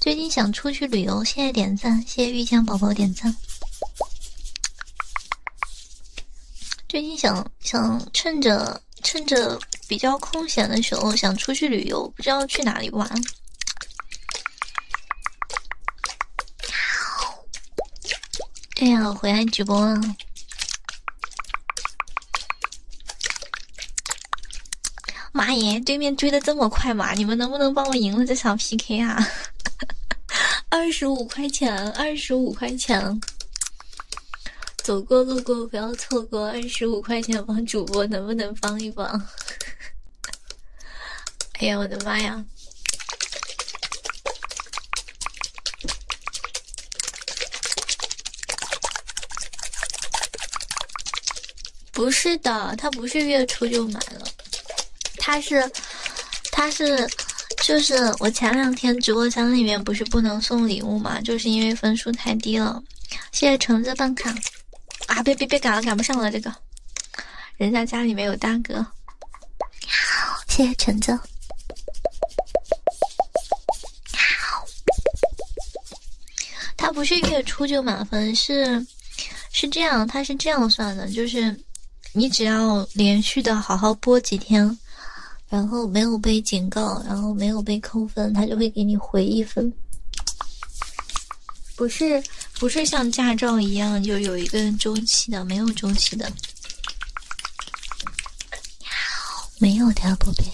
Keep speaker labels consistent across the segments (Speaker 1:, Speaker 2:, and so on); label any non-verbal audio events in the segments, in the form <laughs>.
Speaker 1: 最近想出去旅游，谢谢点赞，谢谢玉江宝宝点赞。最近想想趁着趁着比较空闲的时候想出去旅游，不知道去哪里玩。对呀，回来直播了。妈耶！对面追的这么快嘛？你们能不能帮我赢了这场 PK 啊？<laughs> 二十五块钱，二十五块钱，走过路过不要错过，二十五块钱帮主播能不能帮一帮？哎呀，我的妈呀！不是的，他不是月初就买了，他是，他是，就是我前两天直播间里面不是不能送礼物嘛，就是因为分数太低了。谢谢橙子办卡，啊，别别别赶了，赶不上了这个，人家家里没有大哥。好，谢谢橙子。好。他不是月初就满分，是是这样，他是这样算的，就是你只要连续的好好播几天，然后没有被警告，然后没有被扣分，他就会给你回一分。不是不是像驾照一样，就有一个周期的，没有周期的。没有的，宝贝。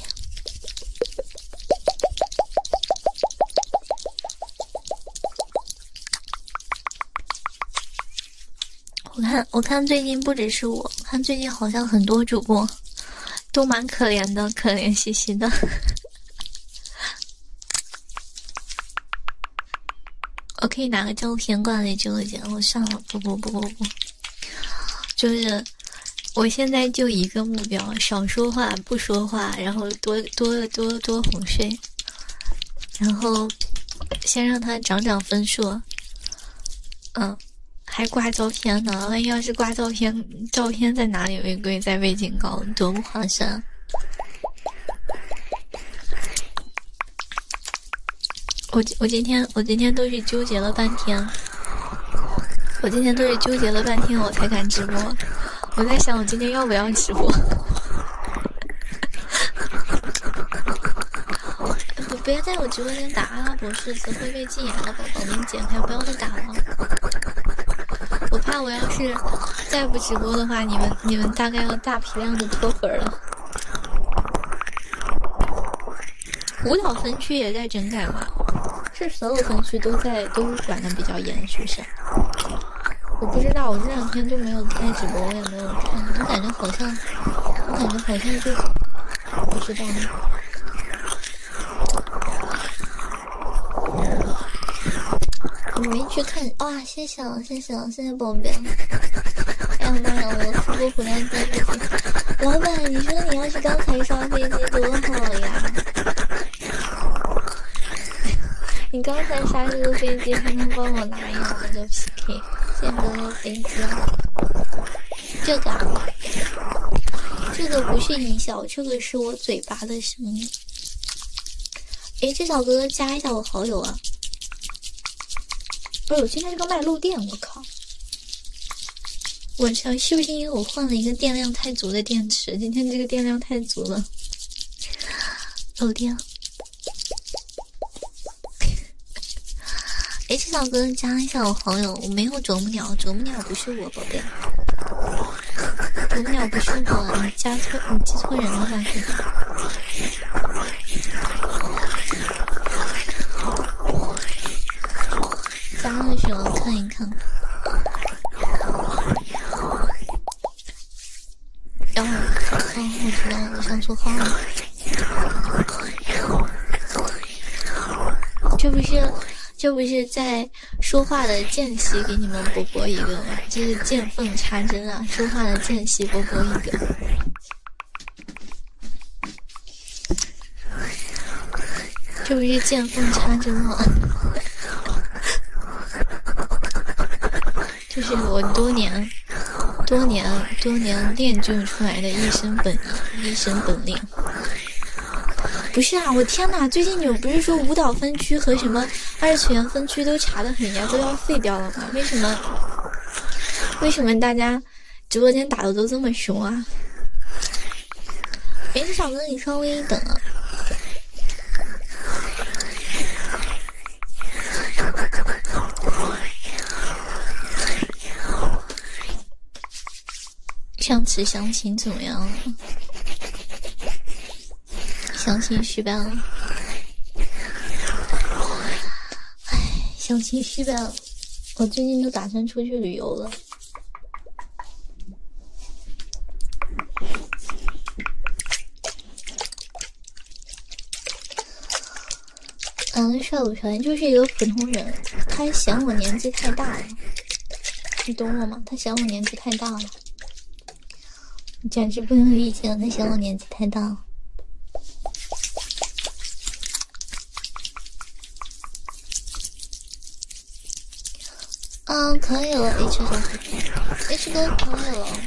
Speaker 1: 我看，我看最近不只是我看，最近好像很多主播都蛮可怜的，可怜兮兮的。<laughs> 我可以拿个照片挂在直播间，我上了，不不不不不，就是。我现在就一个目标，少说话，不说话，然后多多多多哄睡，然后先让他涨涨分数。嗯，还挂照片呢，万一要是挂照片，照片在哪里违规在被警告，多不划算！我我今天我今天都是纠结了半天。我今天都是纠结了半天，我才敢直播。我在想，我今天要不要直播？不要在我直播间打阿拉伯数字会被禁言了吧？宝给你剪开，不要再打了。我怕我要是再不直播的话，你们你们大概要大批量的脱粉了。舞蹈分区也在整改吗？是所有分区都在都管的比较严，是不是？我不知道，我这两天就没有开直播，我也没有看，我感觉好像，我感觉好像就不知道了。你没去看？哇！谢谢了，谢谢了，谢谢宝贝！哎呀妈呀，我直播回来就，老板，你说你要是刚才刷飞机多好呀！<laughs> 你刚才杀这个飞机还能帮我拿一个就 PK 建哥的飞机？这个，这个不是音效，这个是我嘴巴的声音。哎，这小哥，哥加一下我好友啊！不是，我今天这个麦漏电，我靠！我操！是不是因为我换了一个电量太足的电池？今天这个电量太足了，漏电。了。<laughs> 这小哥哥加一下我好友，我没有啄木鸟，啄木鸟不是我，宝贝，啄木鸟不是我，你加错，你记错人了吧？<laughs> 加的时候看一看，然后我知道我上错号了。这不是，这不是在说话的间隙给你们播播一个吗？这是见缝插针啊，说话的间隙播播一个。这 <laughs> 不是见缝插针吗？这 <laughs> 是我多年、多年、多年练就出来的一身本一身本领。不是啊，我天哪！最近你们不是说舞蹈分区和什么二次元分区都查得很严，都要废掉了吗？为什么？为什么大家直播间打的都这么凶啊？没事，嫂子，你稍微等啊。上次相亲怎么样？相亲失败了。唉，相亲失败了。我最近都打算出去旅游了。嗯，帅不帅？就是一个普通人，他嫌我年纪太大了，你懂我吗？他嫌我年纪太大了，简直不能理解，他嫌我年纪太大了。嗯，可以了，H 哥，H 哥可以了。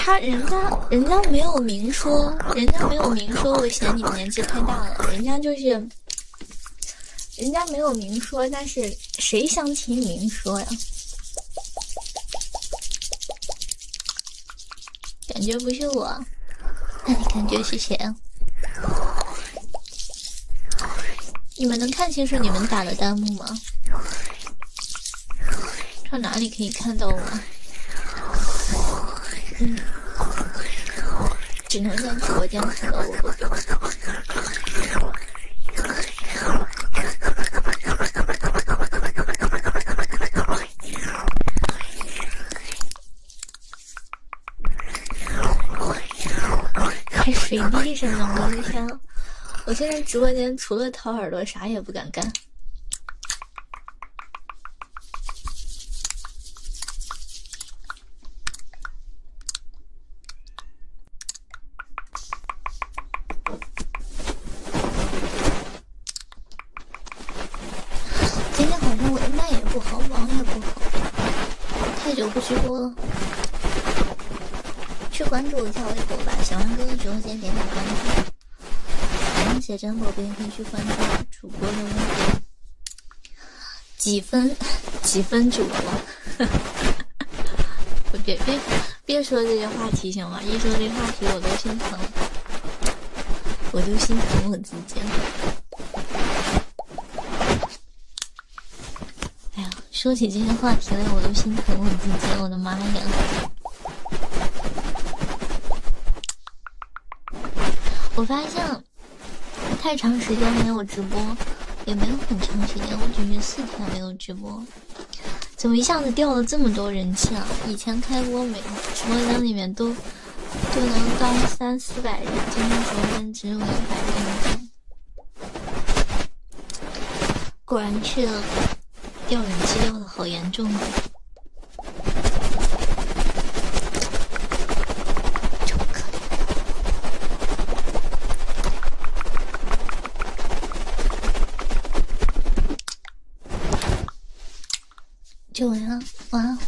Speaker 1: 他人家人家没有明说，人家没有明说，我嫌你们年纪太大了。人家就是，人家没有明说，但是谁想亲明说呀？感觉不是我，那 <laughs> 你感觉是谁？你们能看清楚你们打的弹幕吗？上哪里可以看到我？嗯，只能在直播间看到我。还水滴上呢！我的天，我现在直播间除了掏耳朵，啥也不敢干。今天好像我卖也不好，网也不好，太久不直播了。去关注一下微博吧，小王哥的直播间点点关注。写真宝贝可以去关注主播的微博。几分？几分主播？别 <laughs> 别。别说这些话题行吗？一说这话题，我都心疼，我都心疼我自己。哎呀，说起这些话题来，我都心疼我自己。我的妈呀！我发现太长时间没有直播，也没有很长时间，我只是四天没有直播。怎么一下子掉了这么多人气啊？以前开播每直播间里面都都能到三四百人，今天直播间只有一百人，果然去了，掉人气掉的好严重，真可怜。就完了，晚安。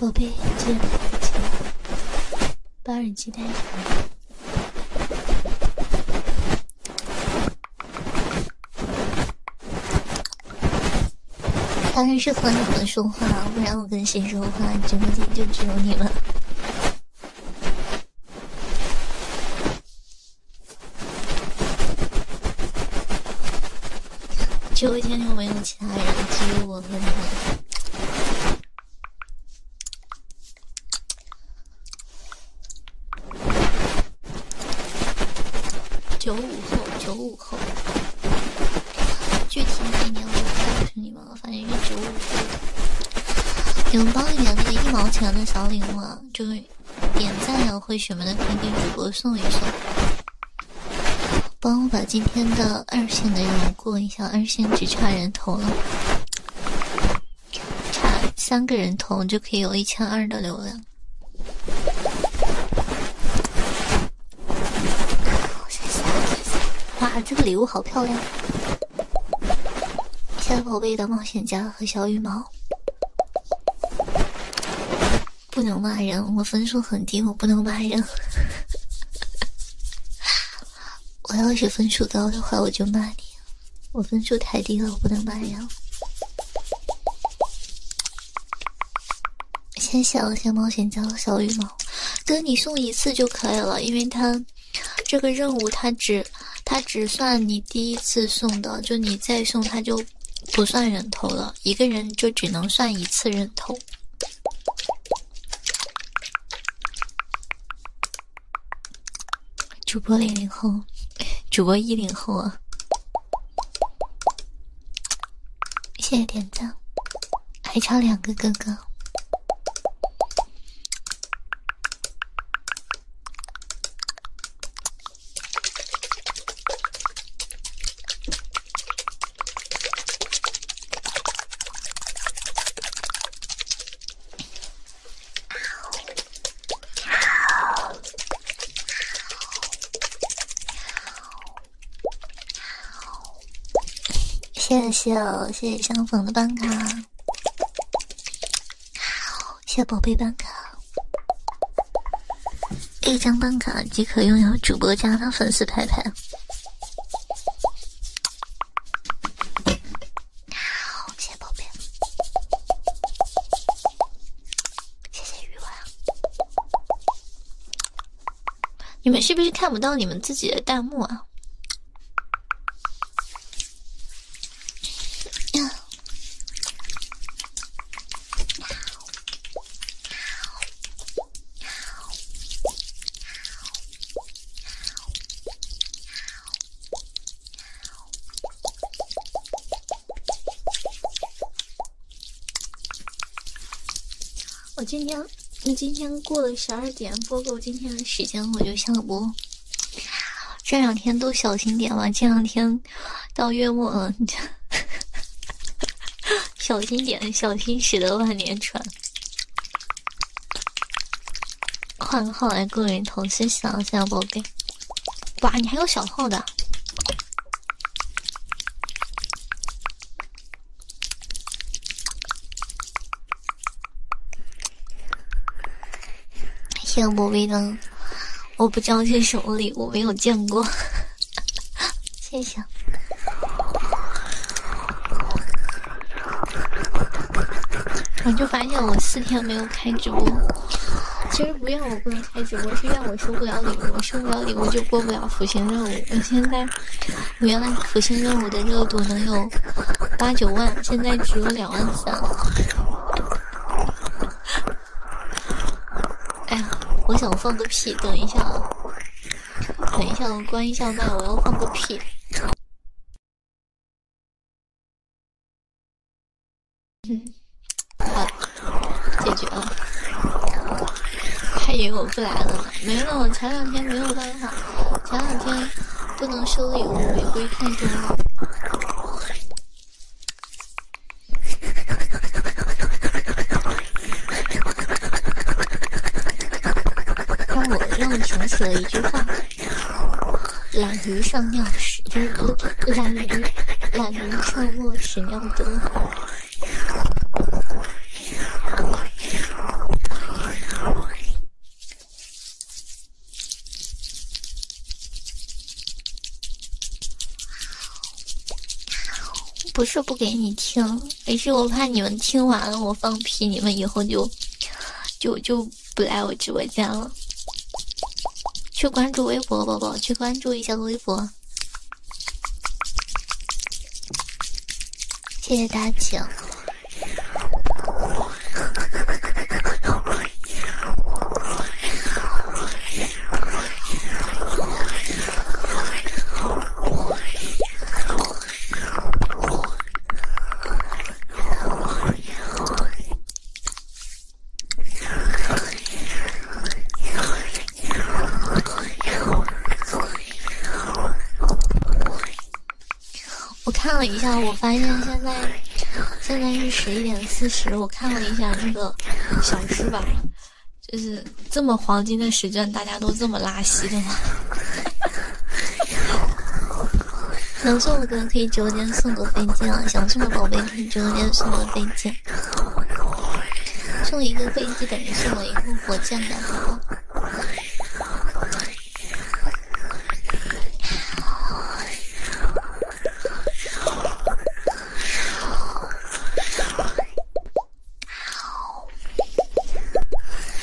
Speaker 1: 宝贝，记得把耳机带上。当然是和你们说话，不然我跟谁说话？直播间就只有你们，直播间就没有其他人，只有我和你。九五后，九五后，具体哪年我就不告诉你们了，反正是九五后。你们帮一点那个一毛钱的小礼物啊，就是点赞呀，或什么的，可以给主播送一送。帮我把今天的二线的任务过一下，二线只差人头了，差三个人头就可以有一千二的流量。哇，这个礼物好漂亮！小宝贝的冒险家和小羽毛，不能骂人。我分数很低，我不能骂人。<laughs> 我要是分数高的话，我就骂你。我分数太低了，我不能骂人。谢谢我先冒险家的小羽毛，哥，你送一次就可以了，因为他这个任务他只他只算你第一次送的，就你再送他就不算人头了，一个人就只能算一次人头。主播零零后，主播一零后啊。谢谢点赞，还差两个哥哥。谢谢，谢谢相逢的办卡，谢谢宝贝办卡，一张办卡即可拥有主播家的粉丝牌牌，谢谢宝贝。谢谢鱼丸。你们是不是看不到你们自己的弹幕啊？我今天，你今天过了十二点，播够今天的时间，我就下播。这两天都小心点吧，这两天到月末了，你 <laughs> 小心点，小心驶得万年船。换个号来个人头，先想想，宝贝。哇，你还有小号的？谢谢微灯，我不知道手什么礼物，我没有见过，谢谢。我就发现我四天没有开直播，其实不怨我不能。开直播是让我收不了礼物，收不了礼物就过不了福星任务。我现在，原来福星任务的热度能有八九万，现在只有两万三。哎呀，我想放个屁，等一下啊，等一下，我关一下麦，我要放个屁。嗯，好，解决了。还以为我不来了呢。没了，我前两天没有办法，前两天不能收礼物，玫瑰太多了。让我让我想起了一句话：懒驴上尿屎，懒驴懒驴上磨屎尿多。不是不给你听，而是我怕你们听完了我放屁，你们以后就就就不来我直播间了。去关注微博，宝宝，去关注一下微。谢谢大家，请。我看了一下，我发现现在现在是十一点四十。我看了一下这个小时吧，就是这么黄金的时间，大家都这么拉稀的吗？<laughs> 能送的哥可以直播间送个飞机啊，想送的宝贝。你播间送么飞机？送一个飞机等于送我一个火箭的好吗？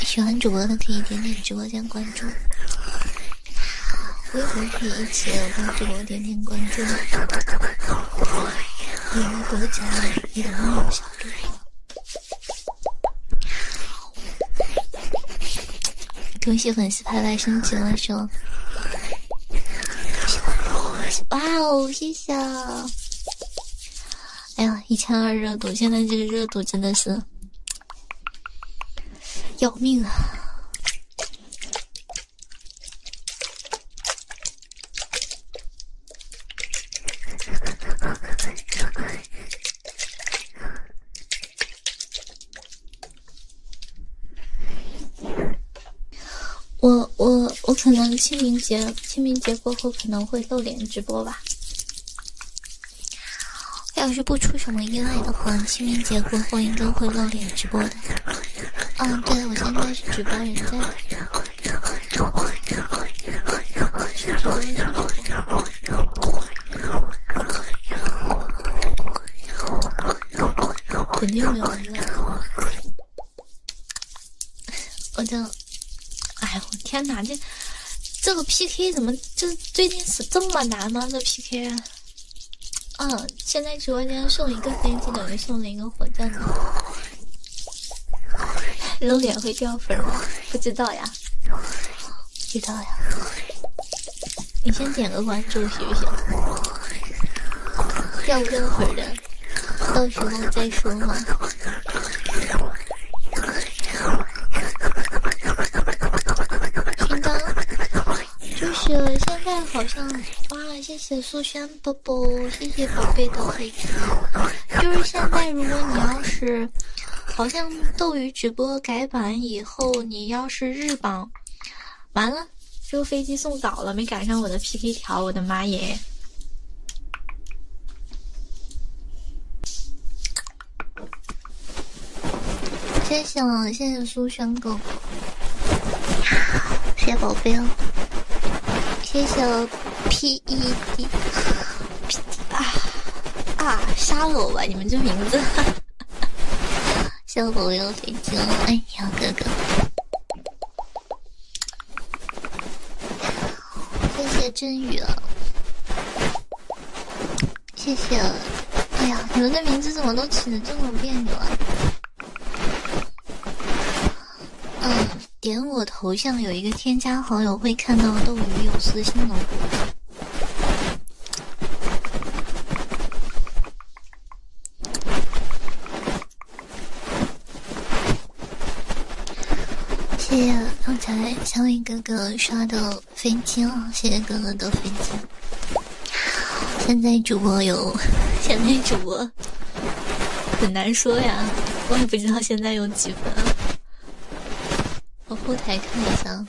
Speaker 1: 喜欢主播的可以点点直播间关注，微博可以一起当直播。点点关注，有个多加个小恭喜粉丝排排升级了，是哇哦，谢谢！哎呀，一千二热度，现在这个热度真的是要命啊！我我我可能清明节清明节过后可能会露脸直播吧。要是不出什么意外的话，清明节过后应该会露脸直播的。嗯，对，我现在是直播人在。肯定没有了。我就，哎呦，天哪，这这个 PK 怎么这最近是这么难吗？这 PK 啊，嗯，现在直播间送一个飞机，等于送了一个火箭。<laughs> 露脸会掉粉吗？不知道呀，知道呀。你先点个关注，行不行？掉不掉粉的，到时候再说嘛。勋章就是现在好像哇，谢谢苏轩的。不，谢谢宝贝的飞机。就是现在，如果你要是，好像斗鱼直播改版以后，你要是日榜，完了，这个飞机送早了，没赶上我的 PK 条，我的妈耶！谢谢，谢谢苏轩哥哥，谢谢宝贝，谢谢。P E D，啊啊，杀了我吧！你们这名字，小死我，我要飞机了！哎呀，哥哥，谢谢真宇，谢谢。哎呀，你们的名字怎么都起的这么别扭啊？嗯，点我头像有一个添加好友，会看到斗鱼有私信的。谢谢刚才小伟哥哥刷的飞机哦，谢谢哥哥的飞机。现在主播有，现在主播。很难说呀，我也不知道现在有几分。我后台看一下，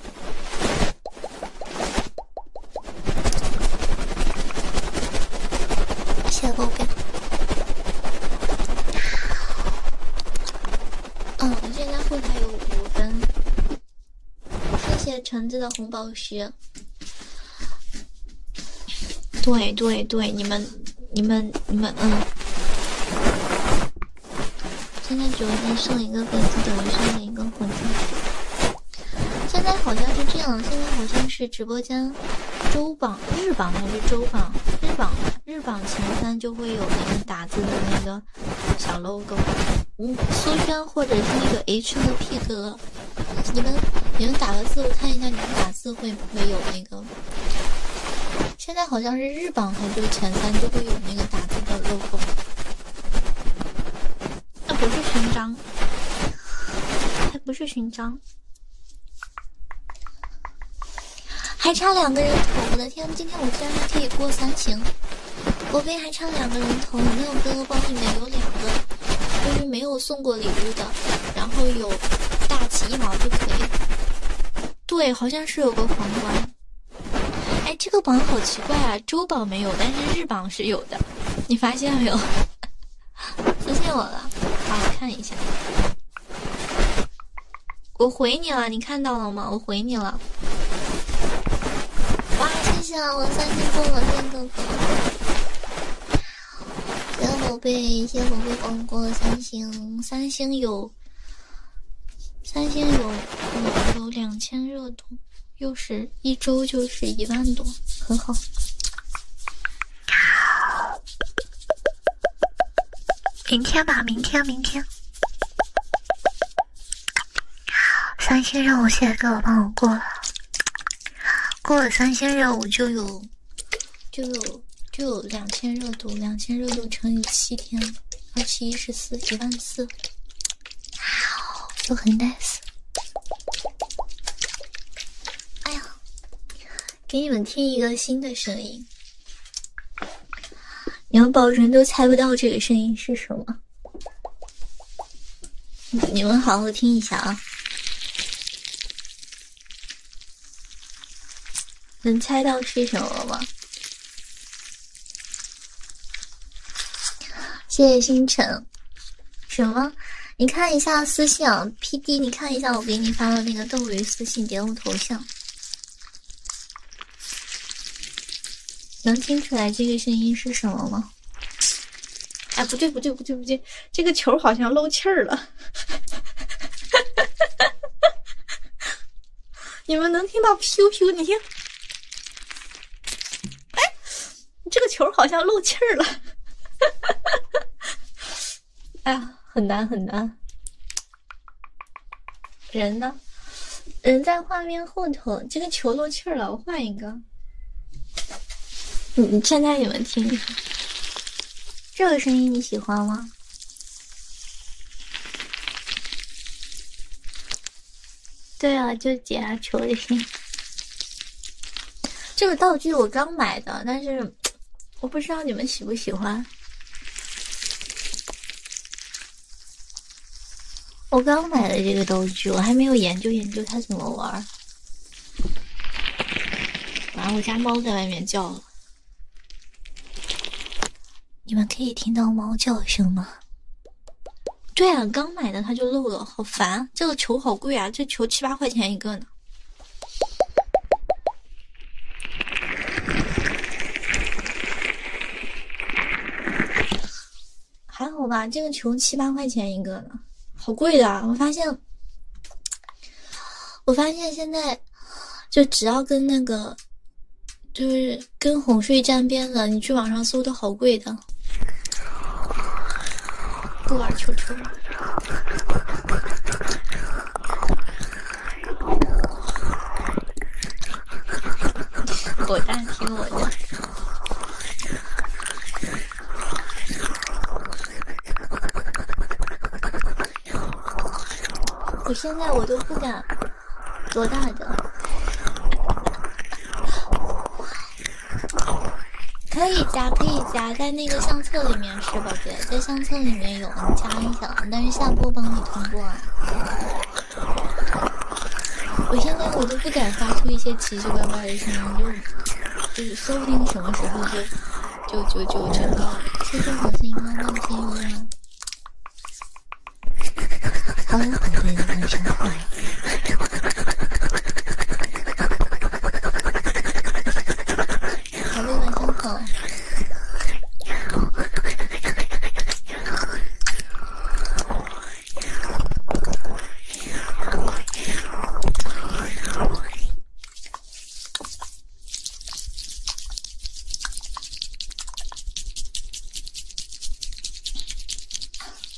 Speaker 1: 谢谢宝贝。嗯，我现在后台有五分。谢谢橙子的红宝石。对对对，你们、你们、你们，嗯。现在直播间上一个粉丝，等于上了一个火箭。现在好像是这样，现在好像是直播间周榜、日榜还是周榜、日榜？日榜前三就会有那个打字的那个小 logo，吴苏轩或者是那个 H 和 P 哥。你们你们打个字，我看一下你们打字会不会有那。那个，现在好像是日榜，还就前三就会有那个打字的 logo，那不是勋章，还不是勋章，还差两个人头。我的天，今天我居然还可以过三星，我背还差两个人头。那有哥哥包里面有两个，就是没有送。送过礼物的，然后有大旗一毛就可以。对，好像是有个皇冠。哎，这个榜好奇怪啊，周榜没有，但是日榜是有的。你发现没有？<laughs> 私信我了，我看一下。我回你了，你看到了吗？我回你了。哇，谢谢啊！我三星送了三个。谢宝贝，谢宝贝，逛过三星，三星有，三星有，有两千热度，又是一周就是一万多，很好。明天吧，明天，明天。三星任务现在给我过了，过了三星任务就有。就有就有两千热度，两千热度乘以七天，二七一十四，一万四，就很 nice。哎呀，给你们听一个新的声音，你们保证都猜不到这个声音是什么，你们好好听一下啊。能猜到是什么吗？谢谢星辰。什么？你看一下私信啊，PD，你看一下我给你发的那个斗鱼私信，点我头像。能听出来这个声音是什么吗？哎，不对，不对，不对，不对。这个球好像漏气儿了，<laughs> 你们能听到 q q 你听，哎，这个球好像漏气儿了，<laughs> 哎呀，很难很难。人呢？人在画面后头。这个球漏气儿了，我换一个。你，现在你们听这个声音你喜欢吗？对啊，就解压球的声音。这个道具我刚买的，但是我不知道你们喜不喜欢。我刚买的这个道具，我还没有研究研究它怎么玩儿。然后我家猫在外面叫。你们可以听到猫叫声吗？对啊，刚买的它就漏了，好烦！这个球好贵啊，这球七八块钱一个呢，还好吧？这个球七八块钱一个呢，好贵的，我发现。我发现现在，就只要跟那个，就是跟哄睡沾边了，你去网上搜都好贵的。不玩球球了。果蛋，听我的。我现在我都不敢多大的，可以加可以加在那个相册里面是吧？姐，在相册里面有你加一下，但是下播帮你通过。我现在我都不敢发出一些奇奇怪怪的声音，就就是说不定什么时候就。就就就这个，这就好像吗？个梦境一样。欢迎我
Speaker 2: 的男神回来。各位晚上
Speaker 1: 好。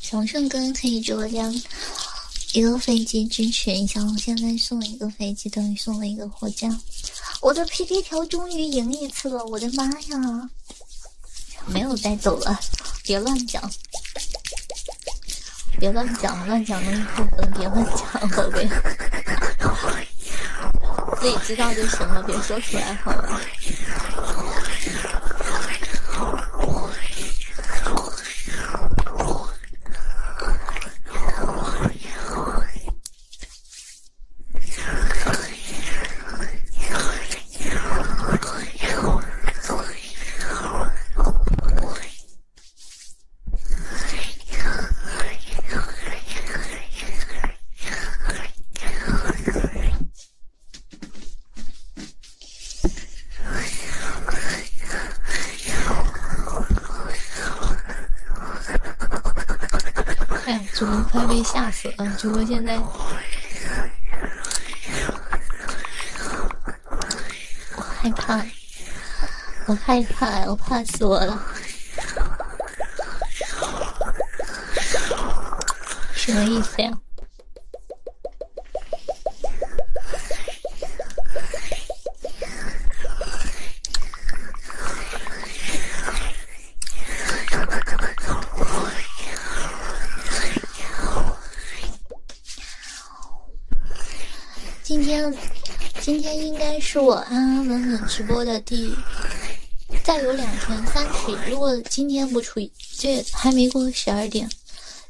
Speaker 1: 小胜哥可以给我加一个飞机支持一下，我现在送一个飞机等于送了一个火箭。我的 P P 条终于赢一次了，我的妈呀！没有带走了，别乱讲，别乱讲。乱讲不能别乱讲，宝贝，自己知道就行了，别说出来好了。哎呀，主播快被吓死了！主播现在我害怕。我害怕，我怕死我了，什么意思？呀？今天，今天应该是我安安稳稳直播的第再有两天三尺。如果今天不出意，这还没过十二点，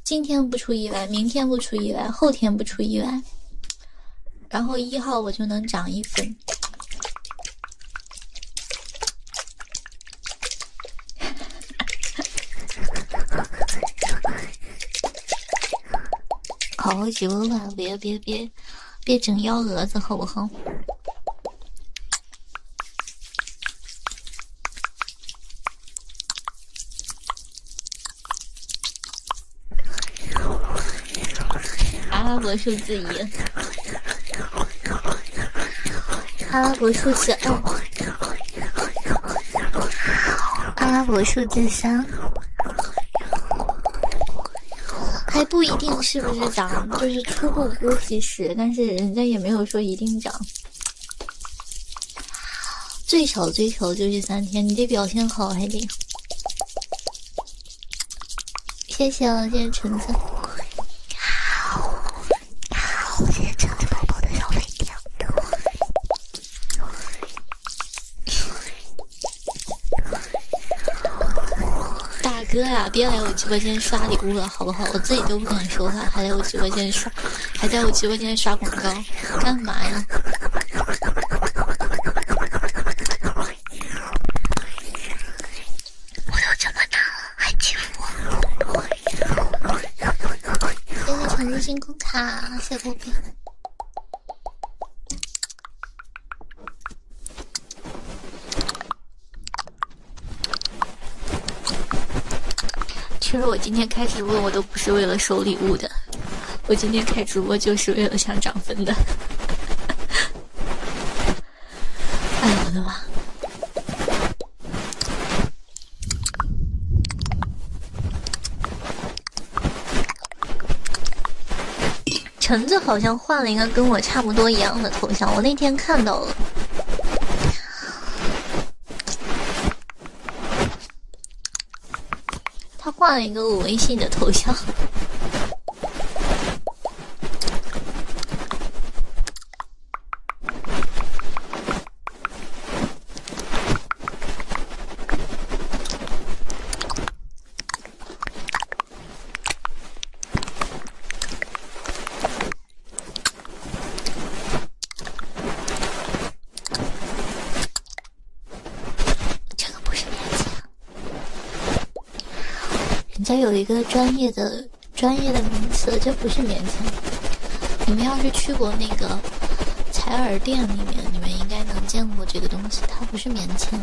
Speaker 1: 今天不出意外，明天不出意外，后天不出意外，然后一号我就能涨一分。<laughs> 好几吧，别别别，别整幺蛾子，好不好？阿拉伯数字一，阿拉伯数字二，阿拉伯数字三。还不一定是不是涨，就是初步估计是，但是人家也没有说一定涨，最少最少就是三天，你得表现好，还得。谢谢，谢谢橙谢谢橙子宝宝的小大哥呀，别来我直播间刷礼物了，好不好？我自己都不敢说话，还来我直播间刷，还在我直播间刷广告，干嘛呀？我都这么大了，还欺负我？星空卡，谢谢波波。其实我今天开直播，我都不是为了收礼物的。我今天开直播就是为了想涨分的。哎我的妈！橙子好像换了一个跟我差不多一样的头像，我那天看到了，他换了一个我微信的头像。这个不是棉签，人家有一个专业的专业的名词，这不是棉签。你们要是去过那个采耳店里面，你们应该能见过这个东西，它是棉签，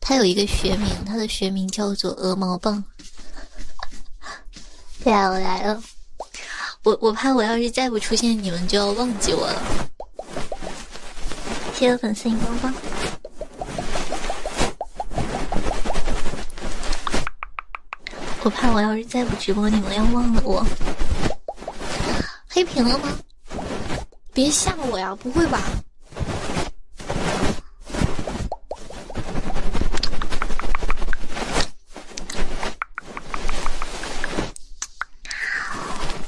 Speaker 1: 它有一个学名，它的学名叫做鹅毛棒。对啊，我来了，我我怕我要是再不出现，你们就要忘记我了。谢谢粉丝荧光棒，我怕我要是再不直播，你们要忘了我。黑屏了吗？别吓我呀！不会吧？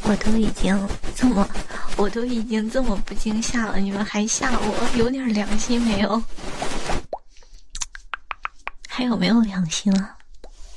Speaker 1: 我都已经这么，我都已经这么不惊吓了，你们还吓我？有点良心没有？还有没有良心了？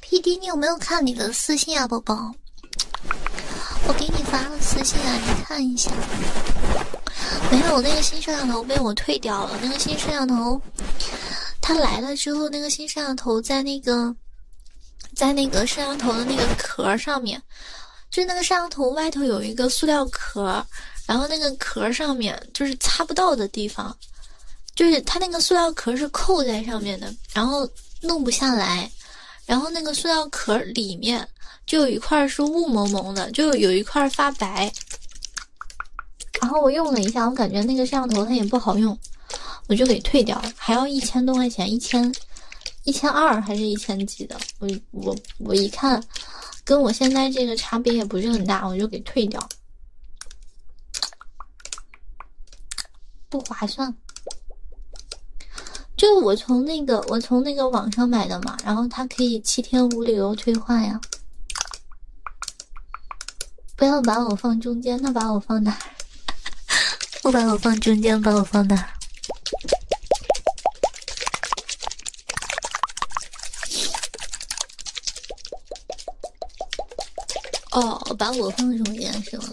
Speaker 1: P.D，你有没有看你的私信啊，宝宝？我给你发了私信啊，你看一下。没有，那个新摄像头被我退掉了。那个新摄像头，它来了之后，那个新摄像头在那个在那个摄像头的那个壳上面，就是那个摄像头外头有一个塑料壳，然后那个壳上面就是擦不到的地方。就是它那个塑料壳是扣在上面的，然后弄不下来，然后那个塑料壳里面就有一块是雾蒙蒙的，就有一块发白。然后我用了一下，我感觉那个摄像头它也不好用，我就给退掉了，还要一千多块钱，一千一千二还是一千几的，我我我一看，跟我现在这个差别也不是很大，我就给退掉。不划算，就我从那个我从那个网上买的嘛，然后它可以七天无理由退换呀。不要把我放中间，那把我放哪儿？<laughs> 不把我放中间，把我放哪儿？<laughs> 哦，把我放中间是吗？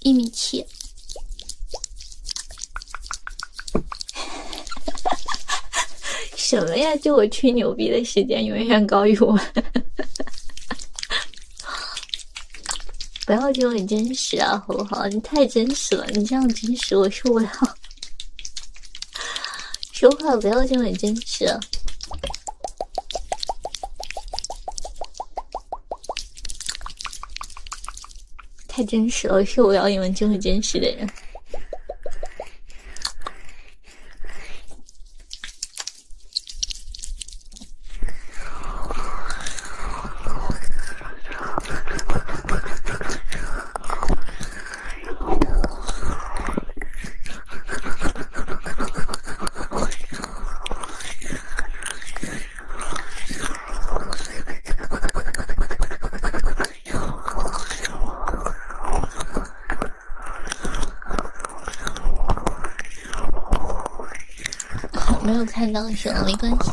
Speaker 1: 一米七，什么呀？就我吹牛逼的时间永远高于我，不要听我真实啊，好不好？你太真实了，你这样真实我受不了。说话不要这么真实，太真实了，是我要你们这么真实的人。没有看到行，没关系。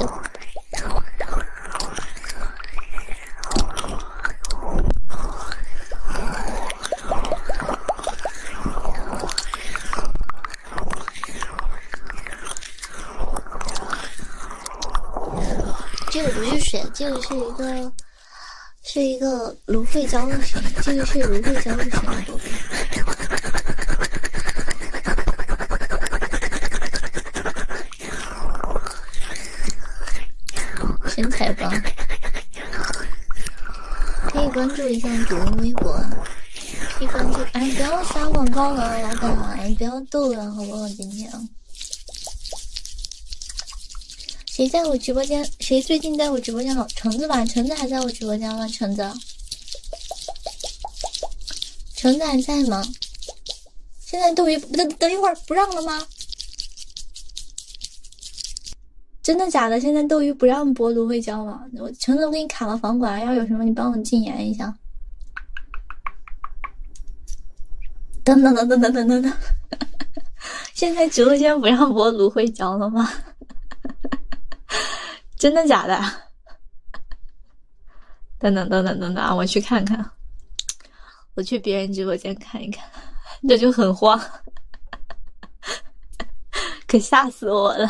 Speaker 1: 这个不是水，这个是一个，是一个芦荟胶水，这个是芦荟胶水，身材棒。可以关注一下主播微博可以关注。哎，不要刷广告了，老板，你不要逗了，好不好？今天谁在我直播间？谁最近在我直播间了？橙子吧，橙子还在我直播间吗？橙子，橙子还在吗？现在都一等，等一会儿不让了吗？真的假的？现在斗鱼不让播芦荟胶吗？我橙子给你卡了房管，要有什么你帮我禁言一下。等等等等等等等，<laughs> 现在直播间不让播芦荟胶了吗？<laughs> 真的假的？等等等等等等，我去看看，我去别人直播间。看一看，<laughs> 这就很慌，<laughs> 可吓死我了，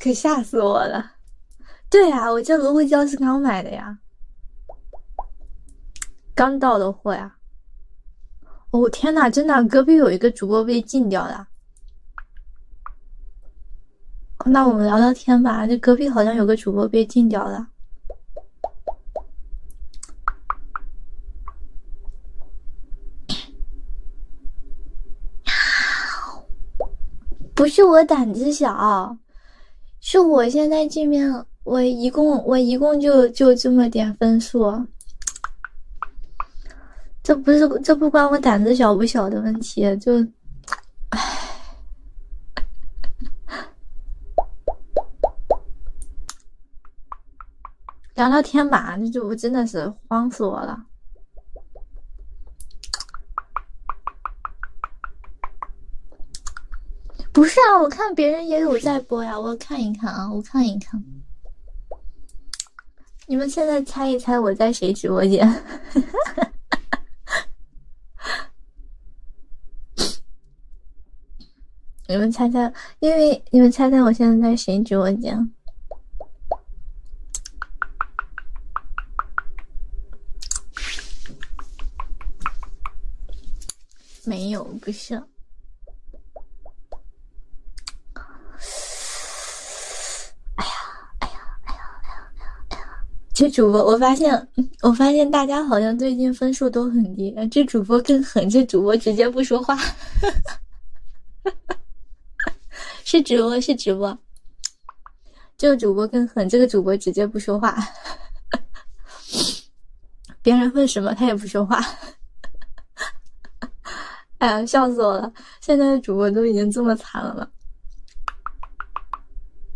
Speaker 1: 可吓死我了。对呀，我这芦荟胶是刚买的呀，刚到的货呀。哦天哪，真的，隔壁有一个主播被禁掉了。那我们聊聊天吧，这隔壁好像有个主播被禁掉了。<coughs> 不是我胆子小，是我现在这边我一共我一共就就这么点分数，这不是这不关我胆子小不小的问题，就，唉。聊聊天吧，那就真的是慌死我了。不是啊，我看别人也有在播呀，我看一看啊，我看一看。你们现在猜一猜我在谁直播间？<laughs> <sniffs> 你们猜猜，因为你们猜猜，我现在在谁直播间？没有，不像。哎呀，哎呀，哎呀，哎呀，哎呀，哎呀！这主播，我发现。我发现大家好像最近分数都很低，这主播更狠，这主播直接不说话，<laughs> 是直播是直播，这个主播更狠，这个主播直接不说话，别人问什么他也不说话，哎呀，笑死我了！现在的主播都已经这么惨了吗？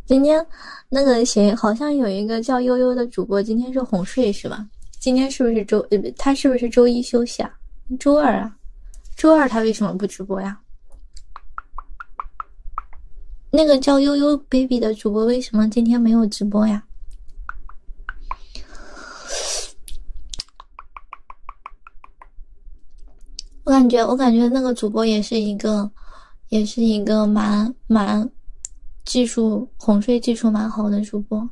Speaker 1: 今天，那个谁，好像有一个叫悠悠的主播，今天是哄睡是吧？今天是不是周？呃，他是不是周一休息啊？周二啊？周二他为什么不直播呀？那个叫悠悠 baby 的主播为什么今天没有直播呀？我感觉，我感觉那个主播也是一个。也是一个蛮蛮，技术哄睡技术蛮好的主播。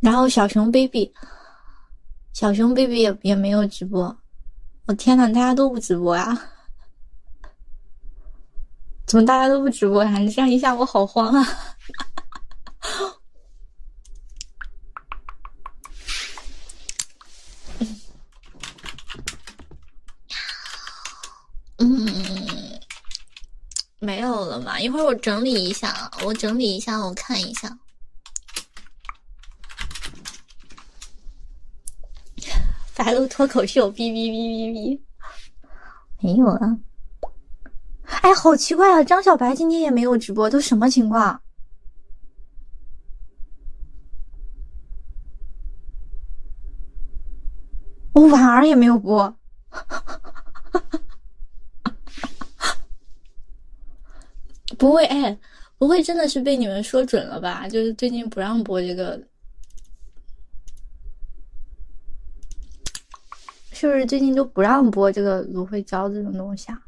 Speaker 1: 然后小熊 baby，小熊 baby 也也没有直播。我天哪，大家都不直播呀？<laughs> 怎么大家都不直播呀？这样一下我好慌啊！嗯，没有了吧？一会儿我整理一下，我整理一下，我看一下。白鹿脱口秀，哔哔哔哔哔，没有啊！哎，好奇怪啊！张小白今天也没有直播，都什么情况？我婉儿也没有播，不会哎，不会真的是被你们说准了吧？就是最近不让播这个，是不是最近都不让播这个芦荟胶这种东西啊？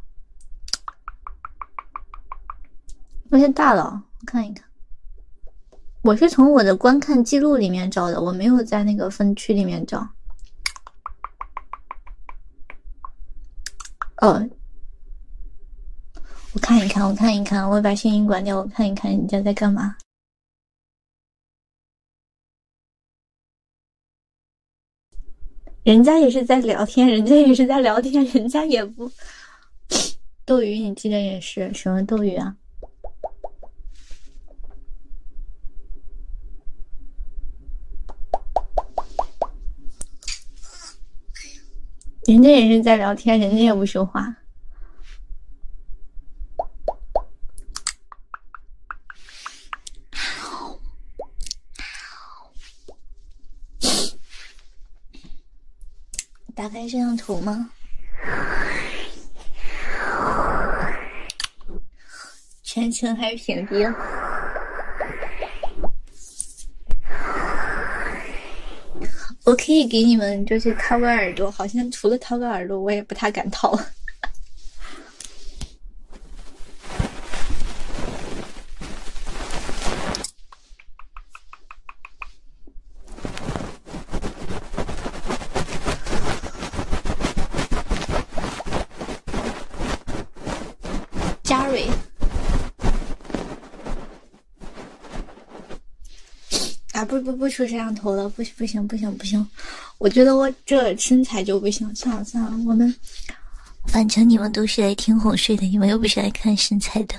Speaker 1: 那些大佬，我看一看。我是从我的观看记录里面找的，我没有在那个分区里面找。哦，我看一看，我看一看，我把声音关掉，我看一看人家在干嘛。人家也是在聊天，人家也是在聊天，人家也不。<sniffs> 斗鱼，你记得也是什么斗鱼啊？人家也是在聊天，人家也不说话。打开摄像头吗？全程还是屏蔽？我可以给你们就是掏个耳朵，好像除了掏个耳朵，我也不太敢掏。嘉瑞，哎，不不不出摄像头了，不不行不行不行，我觉得我这身材就不行，算了算了，我们反正你们都是来听哄睡的，你们又不是来看身材的。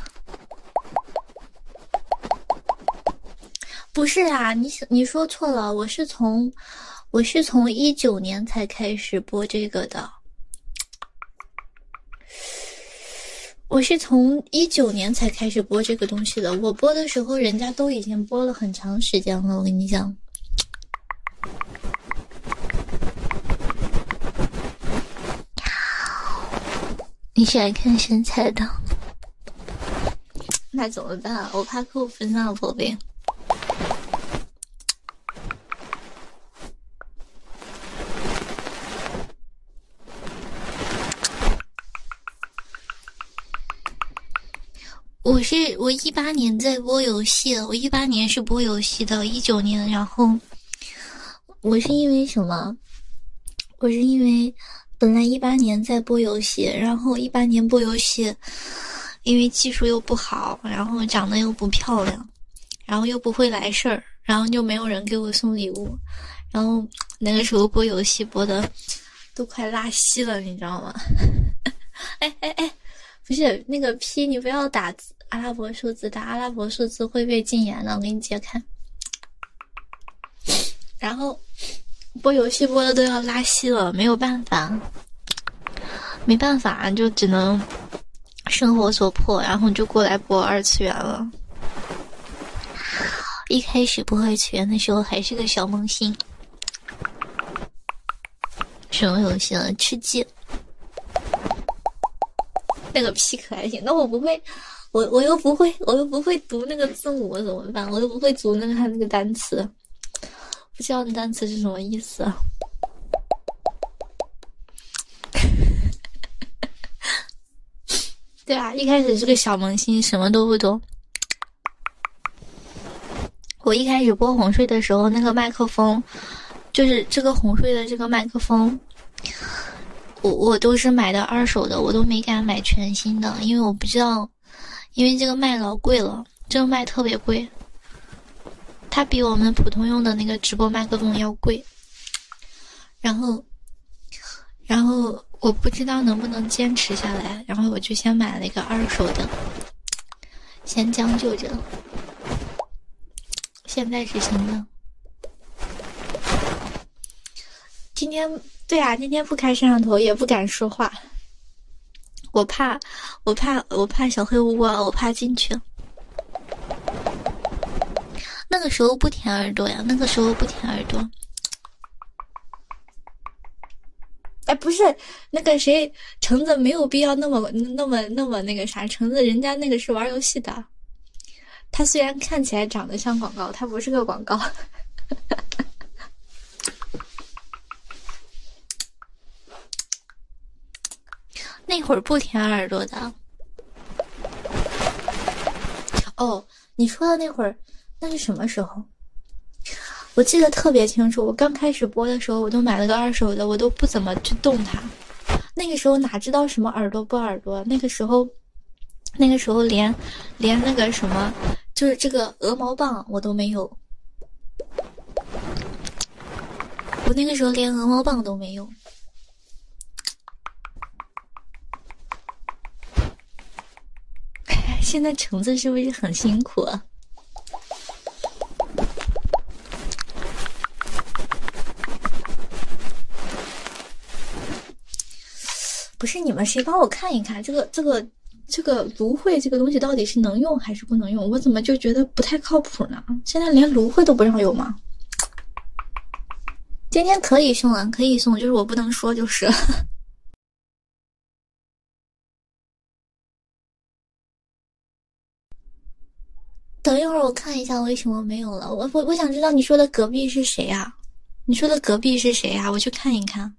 Speaker 1: 不是啊，你你说错了。我是从我是从一九年才开始播这个的，我是从一九年才开始播这个东西的。我播的时候，人家都已经播了很长时间了。我跟你讲。你喜欢看身材的？那怎么办？我怕扣分啊，宝贝。我是我一八年在播游戏，我一八年是播游戏的，一九年然后。我是因为什么？我是因为本来一八年在播游戏，然后一八年播游戏，因为技术又不好，然后长得又不漂亮，然后又不会来事儿，然后就没有人给我送礼物，然后那个时候播游戏播的都快拉稀了，你知道吗？<laughs> 哎哎哎，不是那个 P，你不要打阿拉伯数字，打阿拉伯数字会被禁言的，我给你解开。然后播游戏播的都要拉稀了，没有办法，没办法就只能生活所迫，然后就过来播二次元了。一开始播二次元的时候还是个小萌新，什么游戏啊？吃鸡？那个皮可还行？那我不会。我我又不会，我又不会读那个字母，怎么办？我又不会读那个他那个单词，不知道那单词是什么意思啊？<laughs> 对啊，一开始是个小萌新，什么都不懂。我一开始播哄睡的时候，那个麦克风，就是这个哄睡的这个麦克风。我我都是买的二手的，我都没敢买全新的，因为我不知道，因为这个麦老贵了，这个麦特别贵，它比我们普通用的那个直播麦克风要贵。然后，然后我不知道能不能坚持下来，然后我就先买了一个二手的，先将就着。现在是行的。今天对啊，今天不开摄像头也不敢说话，我怕我怕我怕小黑屋啊，我怕进去。那个时候不舔耳朵呀，那个时候不舔耳朵。哎，不是那个谁橙子没有必要那么那么那么那个啥，橙子人家那个是玩游戏的。它虽然看起来长得像广告，它不是个广告。<laughs> 那会儿不舔耳朵的。哦，你说的那会儿，那是什么时候？我记得特别清楚。我刚开始播的时候，我都买了个二手的，我都不怎么去动它。那个时候哪知道什么耳朵不耳朵？那个时候。那个时候连，连那个什么，就是这个鹅毛棒我都没有。我那个时候连鹅毛棒都没有。现在橙子是不是很辛苦？啊？<laughs> 不是你们谁帮我看一看这个这个这个芦荟这个东西到底是能用还是不能用？我怎么就觉得不太靠谱呢？现在连芦荟都不让用吗？今天可以送啊，可以送，就是我不能说，就是。<laughs> 等一会儿我看一下为什么没有了。我我我想知道你说的隔壁是谁啊？你说的隔壁是谁啊？我去看一看。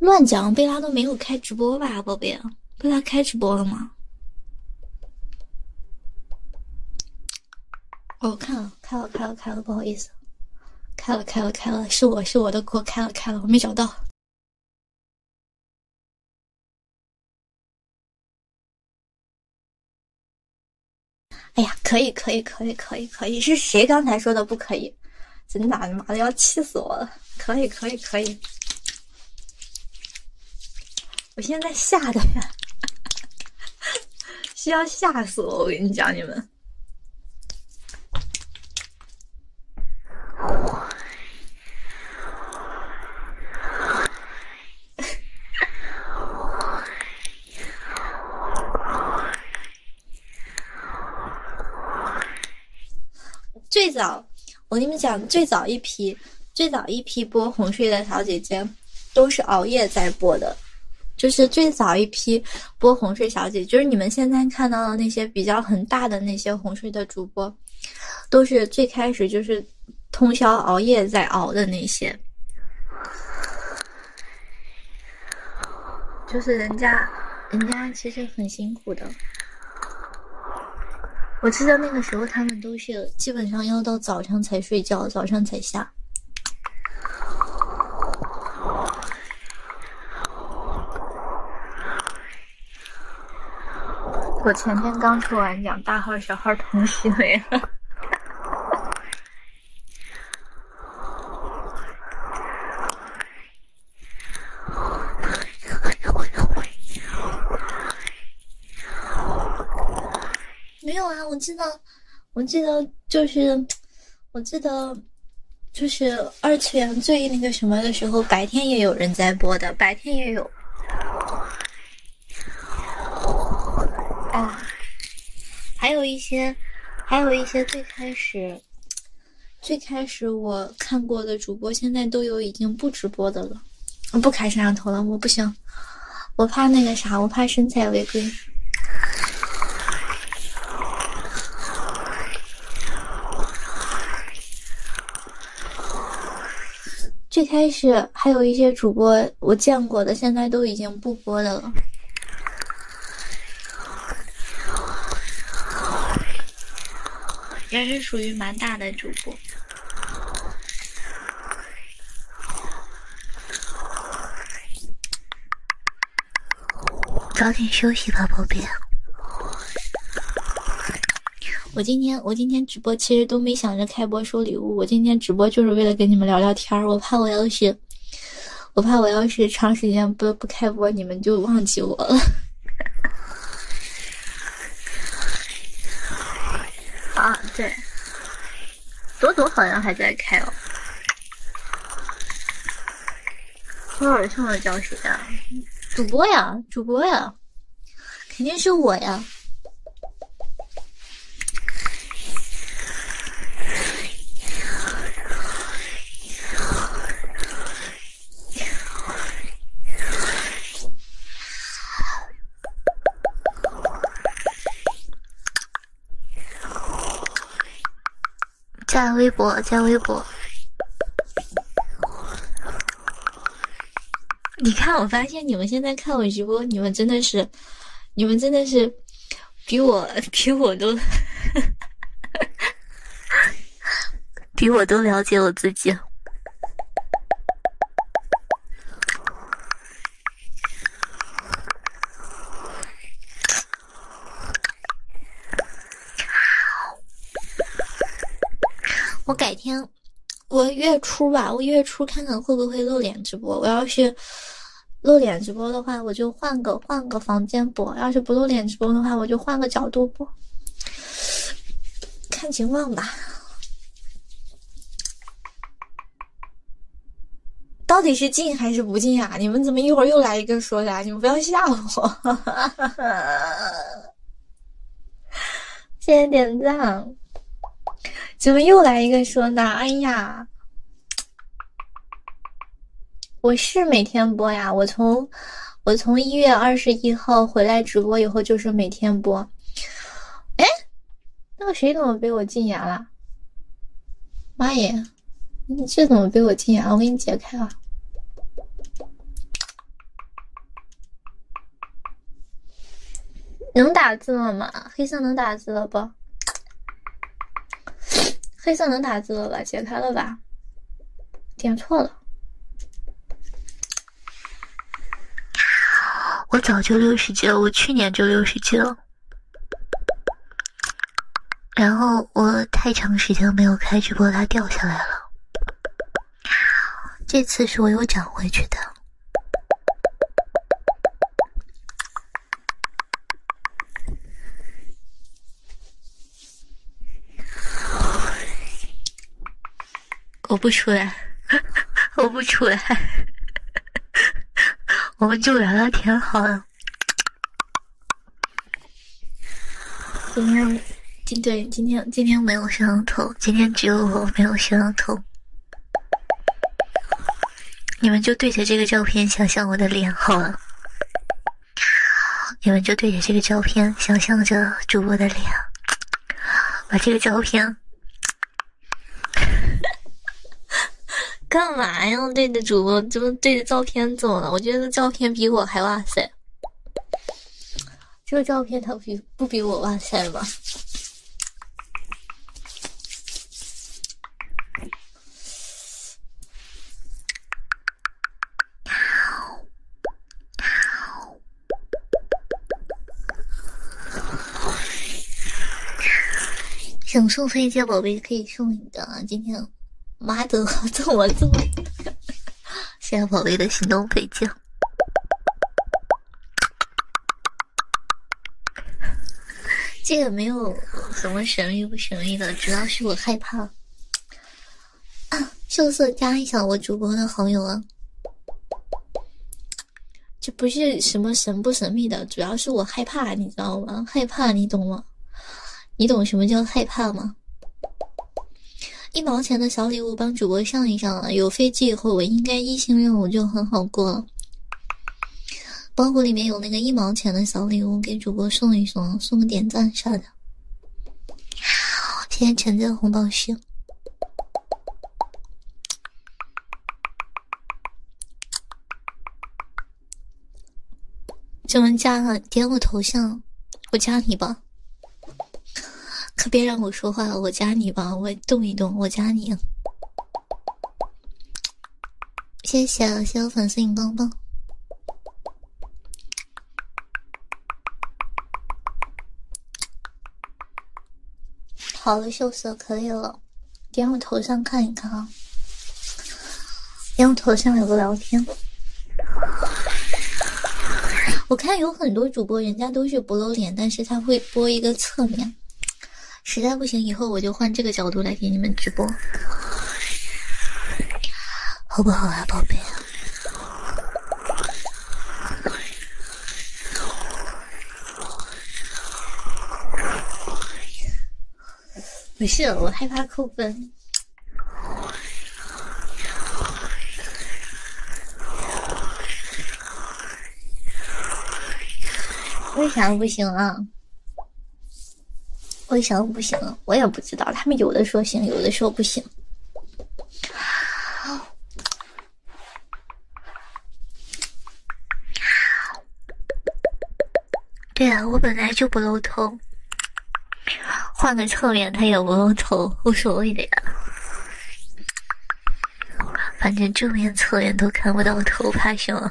Speaker 1: 乱讲，贝拉都没有开直播吧，宝贝？贝拉开直播了吗？哦，看了，开了，开了，开了，不好意思，开了，开了，开了，是我是我的锅，开了，开了，我没找到。哎呀，可以可以可以可以可以！是谁刚才说的不可以？真的，妈的要气死我了！可以可以可以！我现在吓得呀，需 <laughs> 要吓死我！我跟你讲，你们。最早，我跟你们讲，最早一批最早一批播哄睡的小姐姐，都是熬夜在播的。就是最早一批播哄睡小姐，就是你们现在看到的那些比较很大的那些哄睡的主播，都是最开始就是。通宵熬夜在熬的那些，就是人家，人家其实很辛苦的。我记得那个时候，他们都是基本上要到早上才睡觉，早上才下。我前天刚抽完奖，大号、小号同时没了。没有啊，我记得，我记得就是，我记得就是二次元最那个什么的时候，白天也有人在播的，白天也有。啊，还有一些，还有一些最开始，最开始我看过的主播，现在都有已经不直播的了，不开摄像头了，我不行，我怕那个啥，我怕身材违规。最开始还有一些主播我见过的，现在都已经不。播的，也是属于蛮大的主播。早点休息吧，宝贝。我今天我今天直播其实都没想着开播收礼物，我今天直播就是为了跟你们聊聊天。天儿，我怕我要是，我怕我要是长时间不不开播，你们就忘记我了。<laughs> 啊，对，朵朵好像还在开哦。好，我叫的叫谁呀？主播呀，主播呀，肯定是我呀。加微博，加微博。你看，我发现你们现在看我直播，你们真的是。你们真的是比我比我都 <laughs> 比我都了解我自己。<laughs> 我改天，我月初吧，我月初看看会不会露脸直播。我要是。露脸直播的话，我就换个换个房间播；要是不露脸直播的话，我就换个角度播，看情况吧。到底是进还是不进呀？你们怎么一会儿又来一个说啥？你们不要吓我！谢谢点赞，怎么又来一个说呢？哎呀！<tsk> 我是每天播呀，我从我从一月二十一号回来直播以后就是每天播。哎，那个谁怎么被我禁言了？妈耶，你这怎么被我禁言？我给你解开啊！能打字了吗？黑色能打字了不？<tsk> 黑色能打字了吧？解开了吧？点错了。我早就六十级了，我去年就六十级了。然后我太长时间没有开直播，它掉下来了。这次是我又涨回去的。我不出来，我不出来，我们就聊聊天好了。今天，今对今天今天没有摄像头，今天只有我没有摄像头。<laughs> 你们就对着这个照片想象我的脸好了。<laughs> 你们就对着这个照片想象着主播的脸。把这个照片，<laughs> 干嘛呀？对着主播怎么对着照片走了？我觉得照片比我还哇塞。这个照片它比不比我哇塞吗？想送飞机，宝贝可以送一个。今天妈的，么这么？谢 <laughs> 谢宝贝的行动飞机。<laughs> 这个没有什么神秘不神秘的，主要是我害怕。秀色加一下我主播的好友啊！这不是什么神不神秘的，主要是我害怕，你知道吗？害怕，你懂吗？你懂什么叫害怕吗？一毛钱的小礼物帮主播上一上，有飞机以后我应该一星任务就很好过了。包裹里面有那个一毛钱的小礼物，给主播送一送，送个点赞啥的。谢谢陈家红包星。怎么加了？点我头像，我加你吧。可别让我说话，我加你吧。我动一动，我加你。谢谢，谢我粉丝荧光棒。好了，秀色可以了，点我头像看一看啊，点我头像有个聊天。我看有很多主播，人家都是不露脸，但是他会播一个侧面。实在不行，以后我就换这个角度来给你们直播，好不好啊，宝贝？不是，我害怕扣分。为啥不行啊？我想不行，我也不知道。他们有的说行，有的说不行。对啊，我本来就不露头，换个侧面他也不露头，无所谓的呀。反正正面、侧面都看不到头，怕什么？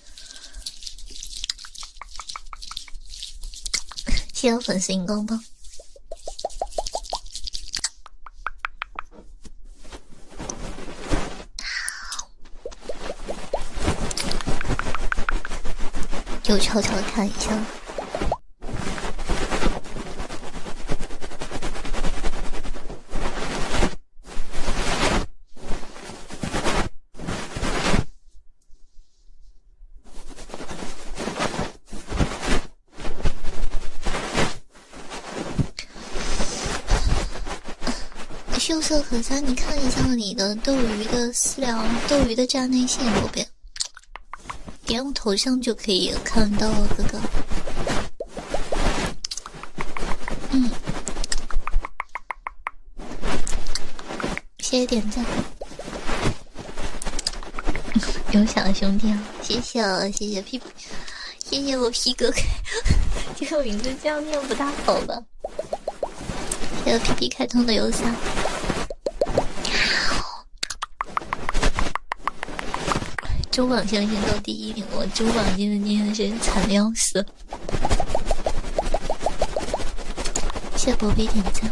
Speaker 1: 谢谢粉丝荧光棒。就悄悄看一下。秀色可餐，你看一下你的斗鱼的私聊，斗鱼的站内信宝边，点我头像就可以看到了，哥哥。嗯。谢谢点赞，<laughs> 有小兄弟啊！谢谢我，谢谢屁，谢谢我皮哥开，<laughs> 这个名字这样念不大好吧？谢谢 P P 开通的邮箱。中榜相信都第一名，我中榜今天今天是惨的要死。谢宝贝点赞，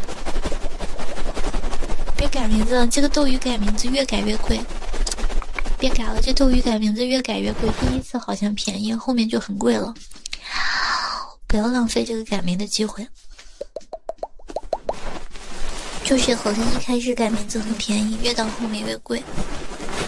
Speaker 1: 别改名字，这个斗鱼改名字越改越贵，别改了，这斗鱼改名字越改越贵，第一次好像便宜，后面就很贵了，不要浪费这个改名的机会，就是好像一开始改名字很便宜，越到后面越贵。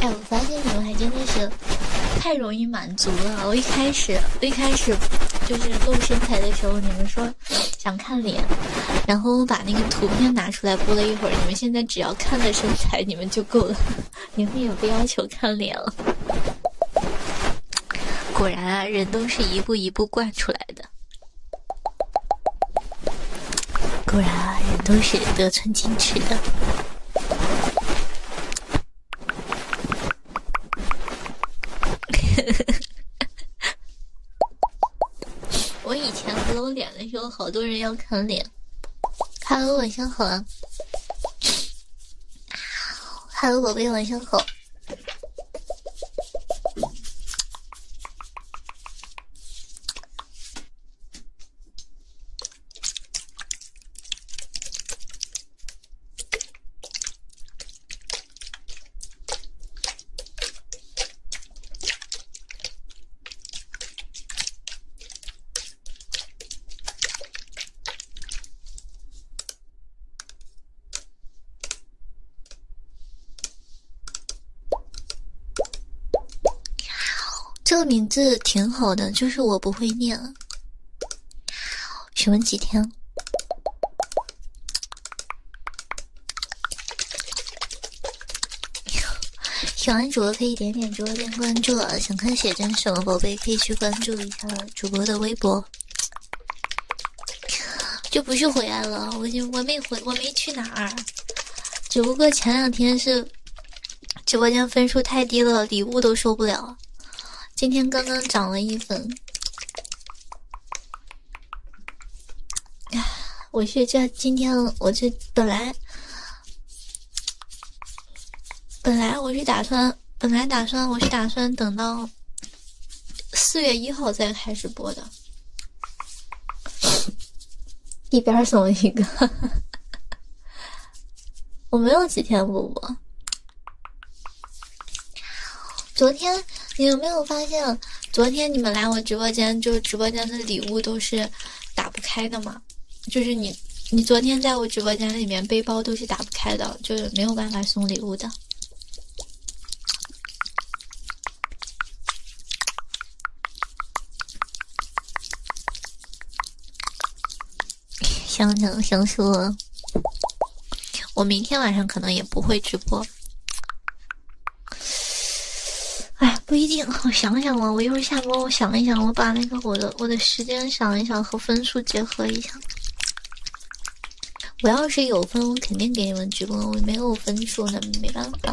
Speaker 1: 哎，我发现你们还真的是太容易满足了。我一开始，一开始就是露身材的时候，你们说想看脸，然后我把那个图片拿出来播了一会儿，你们现在只要看了身材，你们就够了。你们也不要求看脸了。果然啊，人都是一步一步惯出来的。果然啊，人都是得寸进尺的。<laughs> 我以前不露脸的时候，好多人要看脸。Hello，晚上好。啊 Hello，宝贝，晚上好。这个名字挺好的，就是我不会念。询问几天？<laughs> 喜欢主播可以点点直播间关注啊！想看写真什么宝贝可以去关注一下主播的微博。就不是回来了，我就我没回，我没去哪儿，只不过前两天是直播间分数太低了，礼物都收不了。今天刚刚涨了一分，哎，我是这今天我这本来。本来我是打算，本来打算我是打算等到四月一号再开始播的。一边送一个，我没有几天不播。昨天你有没有发现，昨天你们来我直播间，就直播间的礼物都是打不开的吗？就是你，你昨天在我直播间里面背包都是打不开的，就是没有办法送礼物的。想想想说，我明天晚上可能也不会直播。哎。不一定，<laughs> 我想想吧。我一会儿下播，我想一想，我把那个我的我的时间想一想和分数结合一下。我要是有分，我肯定给你们直播；我没有分数，那没办法。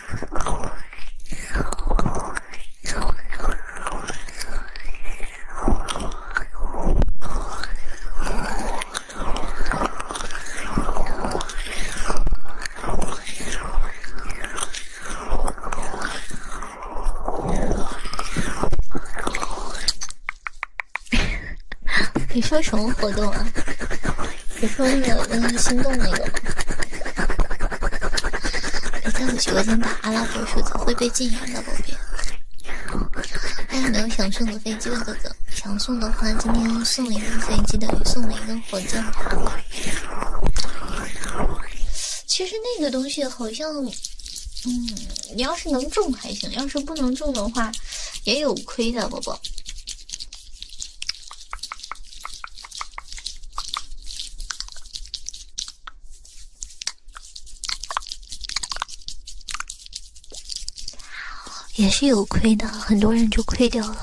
Speaker 1: <laughs> 你说什么活动啊？你说那个，那个心动那个？你在我直播间打阿拉伯数字会被禁言的，宝贝。还有没有想送的飞机的哥哥？想送的话，今天送了一个飞机的，送了一个火箭。其实那个东西好像，嗯，你要是能中还行，要是不能中的话，也有亏的，宝宝。也是有亏的，很多人就亏掉了。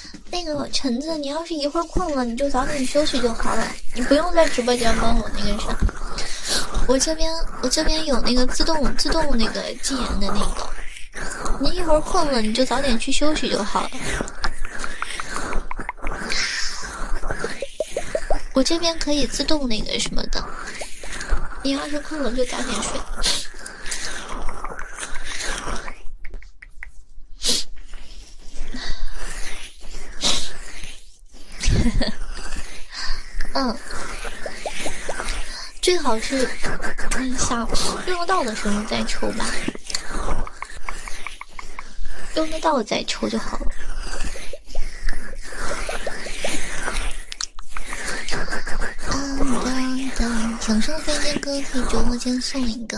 Speaker 1: <laughs> 那个橙子，你要是一会儿困了，你就早点休息就好了。你不用在直播间帮我那个啥，我这边我这边有那个自动自动那个禁言的那个。你一会儿困了，你就早点去休息就好了。我这边可以自动那个什么的，你要是困了就早点睡。呵呵，嗯，最好是想用得到的时候再抽吧，用得到再抽就好了。想送飞机哥，可以直播间送一个。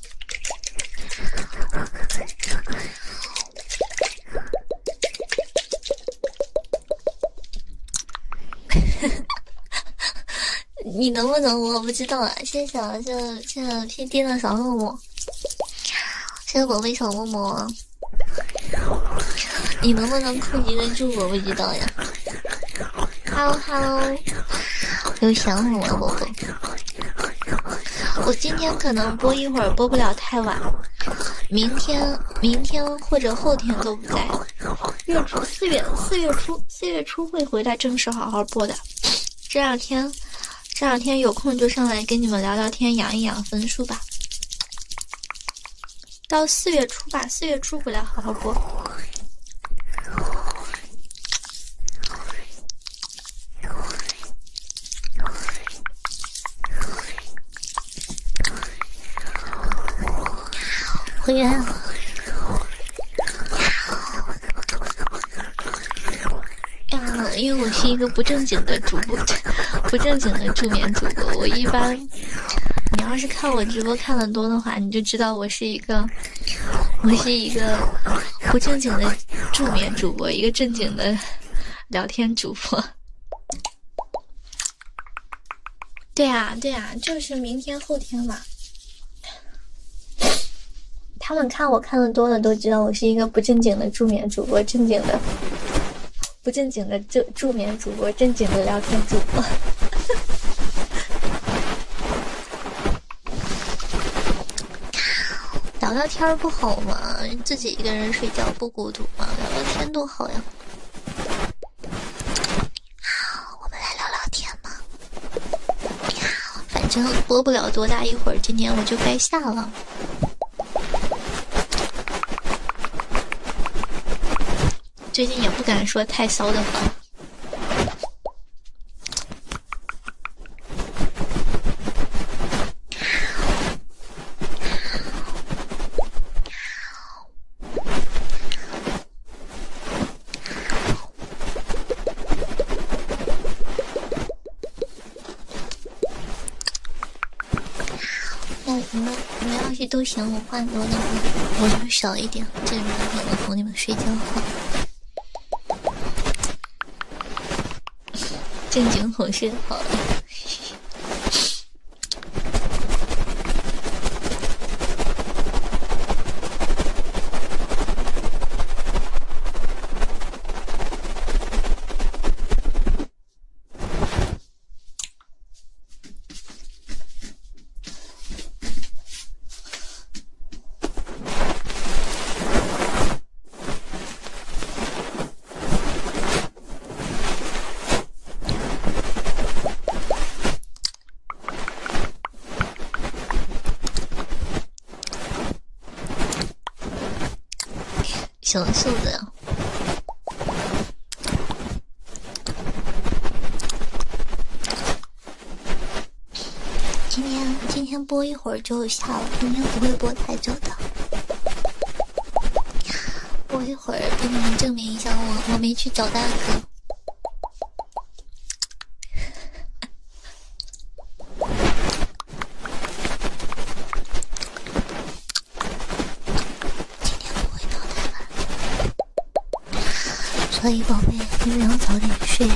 Speaker 1: <laughs> 你能不能我不知道啊！谢谢谢谢，谢谢。甜甜的小木木，谢谢宝贝小木默，你能不能控制得住我不知道呀？Hello Hello，又想我了，宝宝。<laughs> 我今天可能播一会儿，播不了太晚。明天、明天或者后天都不在。月初四月四月初四月初会回来正式好好播的。这两天，这两天有空就上来跟你们聊聊天，养一养分数吧。到四月初吧，四月初回来好好播。回来了。呀，因为我是一个不正经的主播，不正经的助眠主播。我一般，你要是看我直播看的多的话，你就知道我是一个，我是一个不正经的助眠主播，一个正经的。聊天主播，对啊，对啊，就是明天后天嘛。他们看我看的多了，都知道我是一个不正经的助眠主播，正经的不正经的助助眠主播，正经的聊天主播。聊聊天不好吗？自己一个人睡觉不孤独吗？聊聊天多好呀！好，我们来聊聊天吧。反正播不了多大一会儿，今天我就该下了。最近也不敢说太骚的话。那你们，你们要是都行，我话多的话，我就少一点，这样也能哄你们睡觉。正经哄睡好了。小袖子呀，今天今天播一会儿。就下了，今天不会播太久的，播一会儿给你们证明一下，我我没去找大哥，所以宝贝，你们要早点睡呀。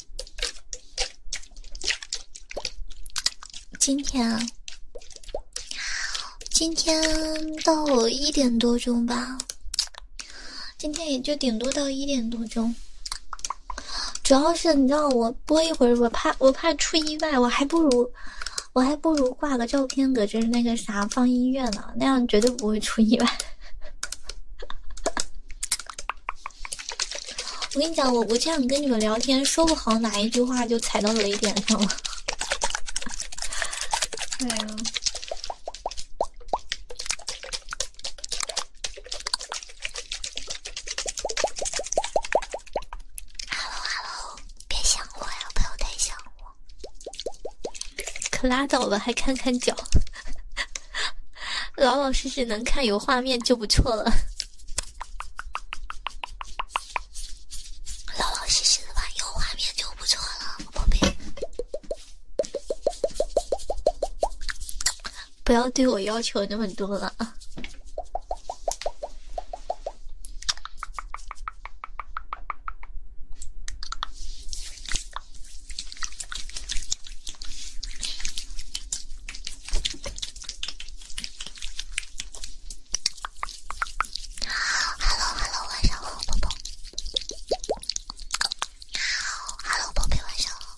Speaker 1: 今天，今天到一点多钟吧。今天也就顶多到一点多钟。主要是你知道，我播一会儿，我怕我怕出意外，我还不如我还不如挂个照片搁这那个啥放音乐呢，那样绝对不会出意外。我跟你讲，我我这样跟你们聊天，说不好哪一句话就踩到雷点上了。哎呀！Hello，Hello，别想我呀，不要太想我。可拉倒吧，还看看脚？老老实实能看有画面就不错了。老老实实的吧，有画面就不错了，宝贝，不要对我要求那么多了 Hello Hello 晚上好宝宝。好 Hello 宝贝晚上好。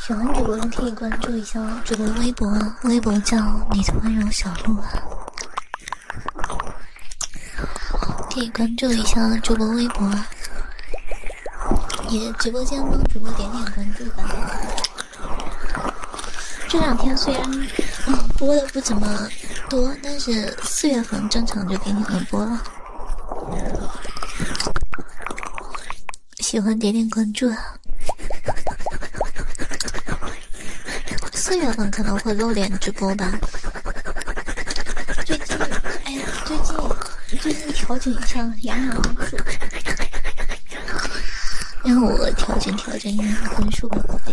Speaker 1: 喜欢主播的可以关注。主播微博，微博叫你的温柔小鹿啊，可以关注一下主播微博。也直播间帮主播点点关注吧。这两天虽然播的不怎么多，但是四月份正常就给你们播了。喜欢点点关注啊！四月份可能会露脸直播吧。最近，哎，呀，最近最近调整一下养养分数，让我调整调整养养分数，宝贝。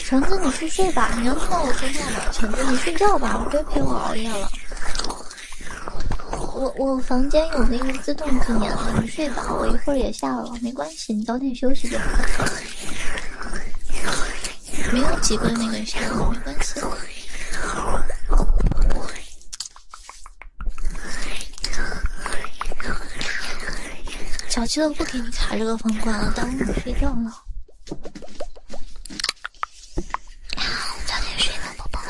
Speaker 1: 橙子，你去睡吧，你要到我说话吗？橙子，你睡觉吧，别陪我熬夜了。我我房间有那个自动静音了，你睡吧，我一会儿也下了，没关系，你早点休息就好。没有几个那个啥，没关系。小七都不给你卡这个房管了，耽误你睡觉了。早点睡吧，宝宝。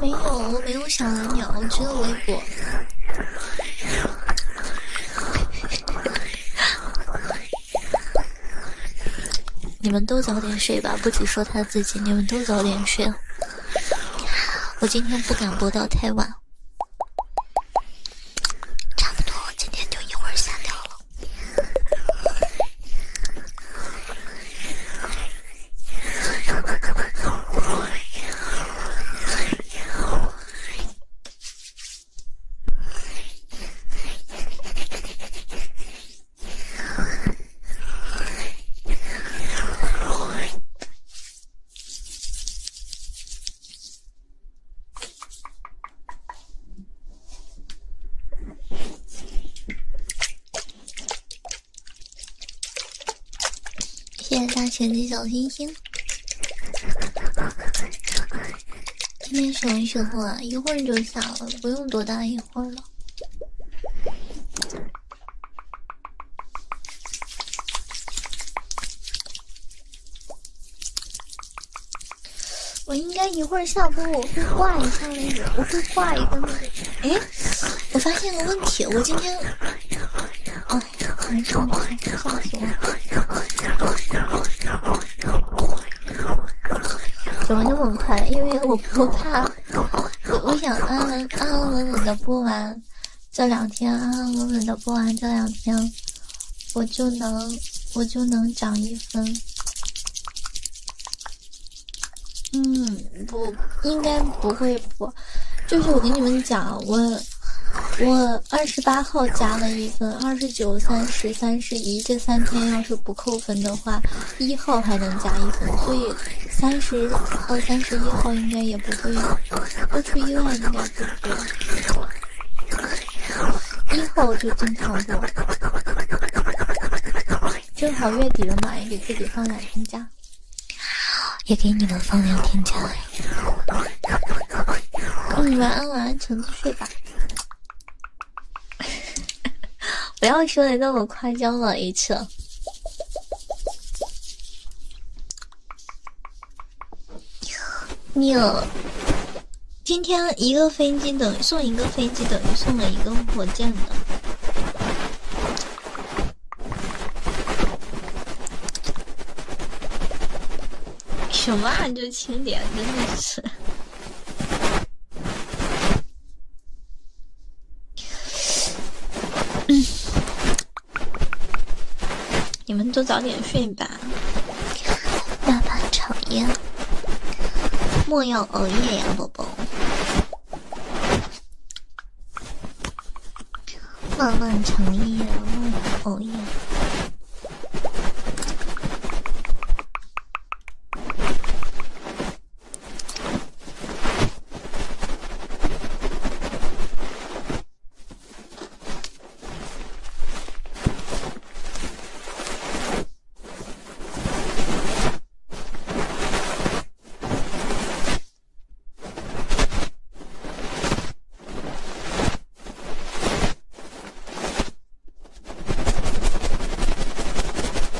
Speaker 1: 没有，我没有小蓝鸟，我只有微博。你们都早点睡吧，不只说他自己，你们都早点睡。<laughs> 我今天不敢播到太晚，差不多今天就一会儿下掉了。谢谢大神的小星星。今天什么时候啊？一会儿就下了，不用多大一会儿了。我应该一会儿下播，我会挂一下那个，我会挂一个那个。哎，我发现个问题，我今天哦，好快，好快，怎么那么快？因为我不怕，我我想安安安稳稳的播完。这两天安安稳稳的播完，这两天我就能我就能涨一分。嗯，不，应该不会播。就是我跟你们讲，我我二十八号加了一分，二十九、三十、三十一这三天要是不扣分的话，一号还能加一分，所以。三十号、三十一号应该也不会，不出意外应该不会。一号就正常过，正好月底了嘛，也给自己放两天假，也给你们放两天假。晚安，晚安，沉子睡吧。<laughs> 不要说的那么夸张了，一次。牛！今天一个飞机等于送一个飞机，等于送了一个火箭。什么曼就轻点，真的是。嗯。你们都早点睡吧，爸爸抽烟。莫要熬夜呀，宝宝，漫漫长夜，莫要熬夜。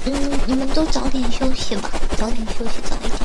Speaker 1: 嗯，你们都早点休息吧，早点休息，早一点。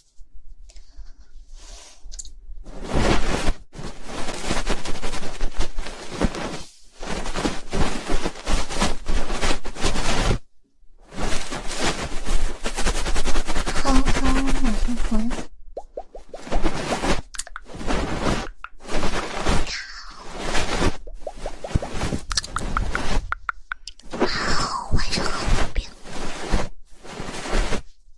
Speaker 1: 好好晚安，好晚上好，冰冰。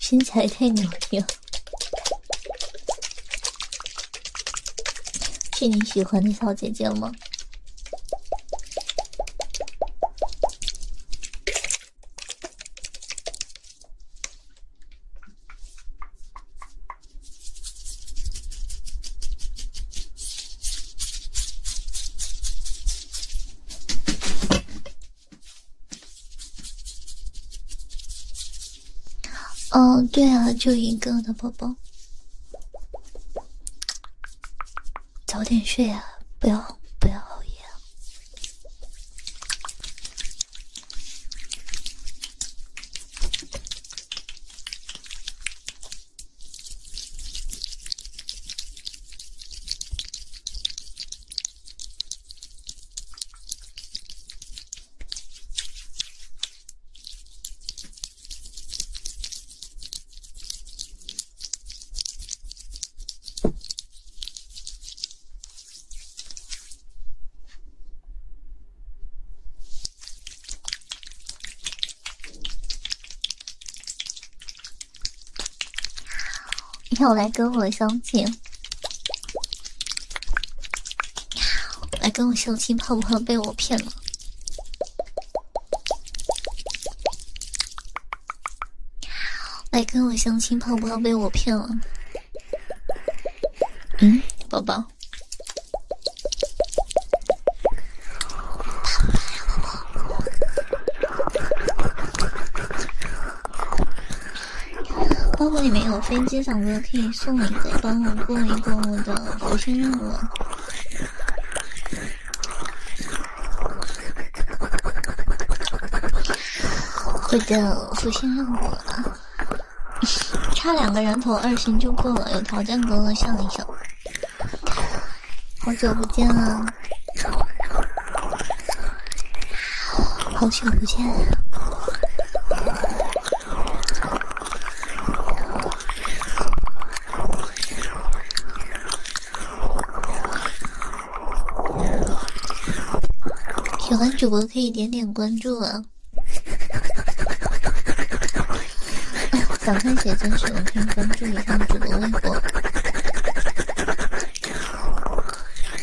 Speaker 1: 身材太牛了，是你喜欢的小姐姐吗？嗯，对啊，就一个的宝宝，早点睡啊，不要不要熬夜。要来跟我相亲？来跟我相亲，怕不怕被我骗了？来跟我相亲，怕不怕被我骗了？嗯，宝宝。包库里面有飞机，大哥可以送一个，帮我过一过我的福星任务。我的福星任务啊，差两个人头二星就过了，有条件哥哥上一上。好久不见啊！好久不见啊！喜欢主播可以点点关注啊！想看谁专属，可以关注一下主播微博。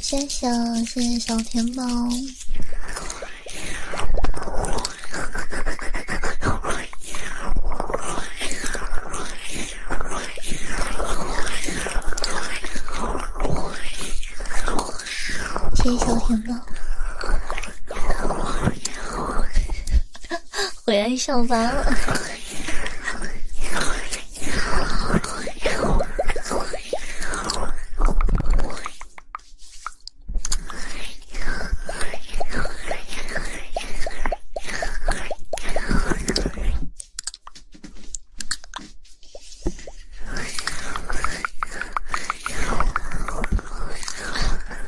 Speaker 1: 谢谢谢谢小甜宝，谢谢小甜宝。<laughs> 回来上班了，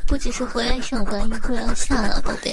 Speaker 1: 不只是回来上班，会儿要下了，宝贝。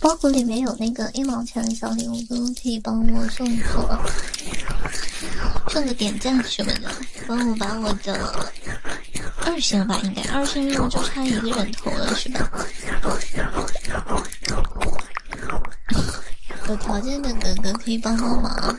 Speaker 1: 包裹里面有那个一毛钱的小礼物，哥可以帮我送一送送个点赞什么的，帮我把我的二星吧，应该二星任务就差一个人头
Speaker 2: 了，是吧？
Speaker 1: 有条件的哥哥可以帮帮忙。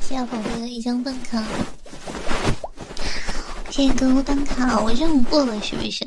Speaker 1: 谢宝贝的一张办卡，谢谢哥哥办卡，我任务过了是不是？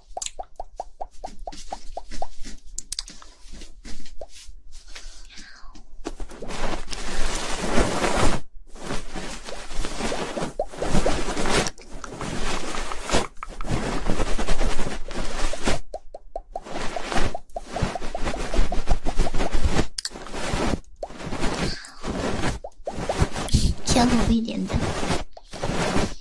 Speaker 1: 小宝贝点的。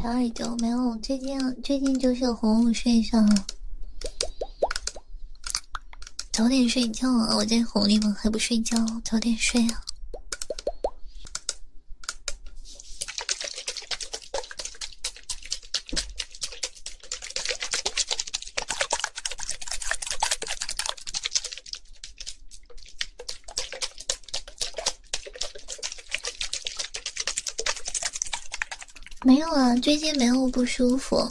Speaker 1: 调耳朵没有？最近最近就是哄睡上。了。早点睡觉啊！我在哄你们，还不睡觉？早点睡啊！没有啊，最近没有不舒服。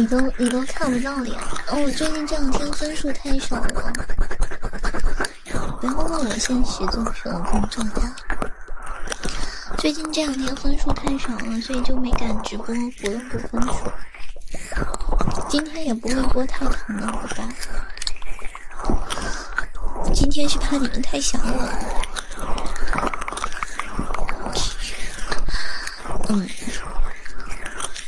Speaker 1: 你都你都看不到脸，我最近这两天分数。太少了，不要问我现实做什么工作的。最近这两天分数太少了，所以就没敢直播，不用补分数。今天也不会播太长了，宝宝。今天是怕你们太想我。嗯。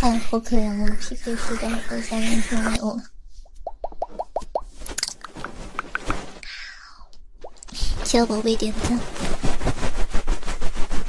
Speaker 1: 哎，好可怜，我的皮肤实在不想忍受了。小宝贝，点赞。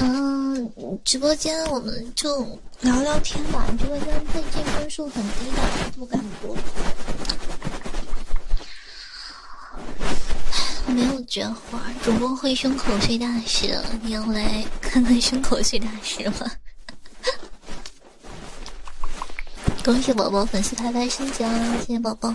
Speaker 1: 嗯，直播间我们就聊聊天吧。直播间最近分数很低的，不敢播。没有绝活，主播会胸口碎大石。你要来看看胸口碎大石吗？<laughs> 恭喜宝宝粉丝牌牌升级，谢谢宝宝。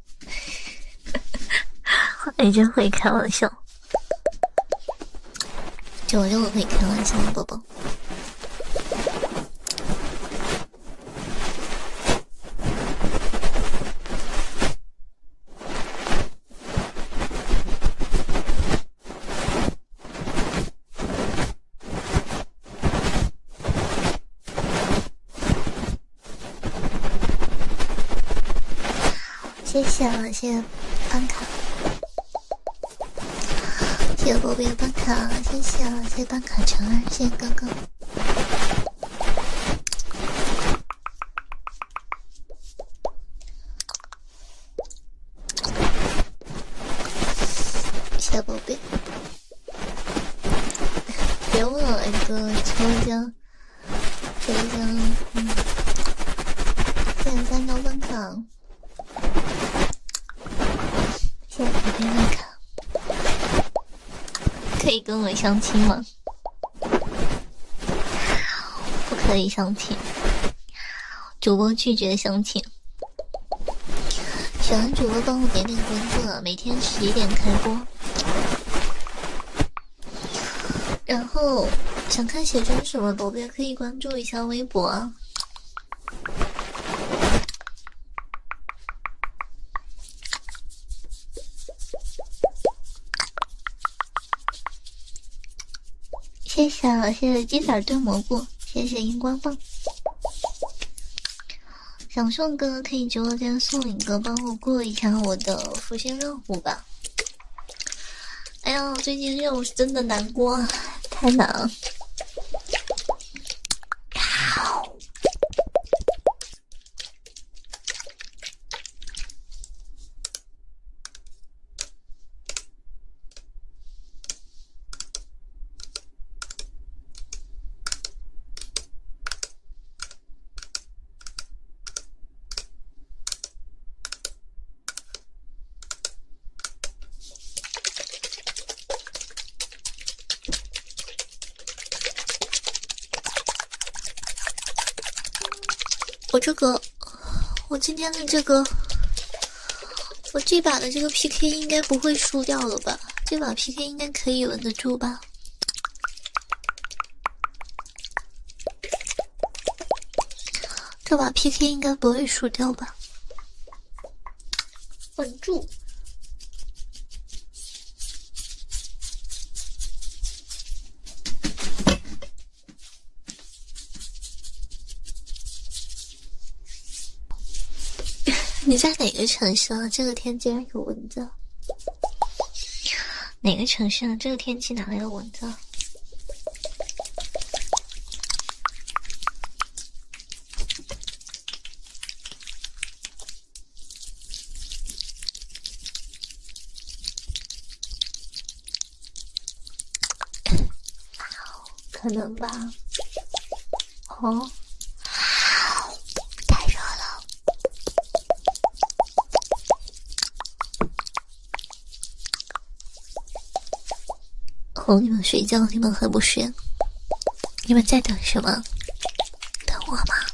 Speaker 1: <laughs> 你真会开玩笑，就我就我会开玩笑，宝宝。谢谢了，谢谢办卡，谢谢宝贝办卡，谢谢了，谢谢办卡成儿，谢谢刚刚，谢谢宝贝，别忘了这个直播谢谢，嗯，谢谢三幺粉卡，谢谢五幺卡，可以跟我相亲吗？不可以相亲，主播拒绝相亲。喜欢主播，帮我点点关注，每天十一点开播。然后想看写真什么的，也可以关注一下微博啊。谢谢谢谢鸡仔炖蘑菇，谢谢荧光棒。想送哥可以直播间送一个，帮我过一下我的福星任务吧。哎呀，最近任务是真的难过，太难了。我这个，我今天的这个，我这把的这个 PK 应该不会输掉了吧？这把 PK 应该可以稳得住吧？这把 PK 应该不会输掉吧？稳住！<laughs> 你在哪个城市啊？这个天竟然有蚊子！哪个城市啊？这个天气哪来的蚊子？<coughs> 可能吧。哦，太热了。哄你们睡觉，你们还不睡？你们在等什么？等我吗？<laughs>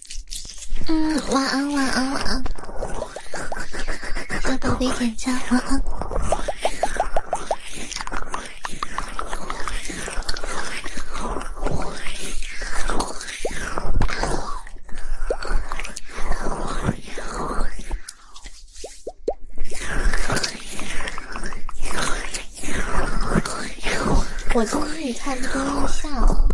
Speaker 1: 嗯，晚安，晚安，晚安。给宝贝点赞，晚安。我今天也差不多要下了。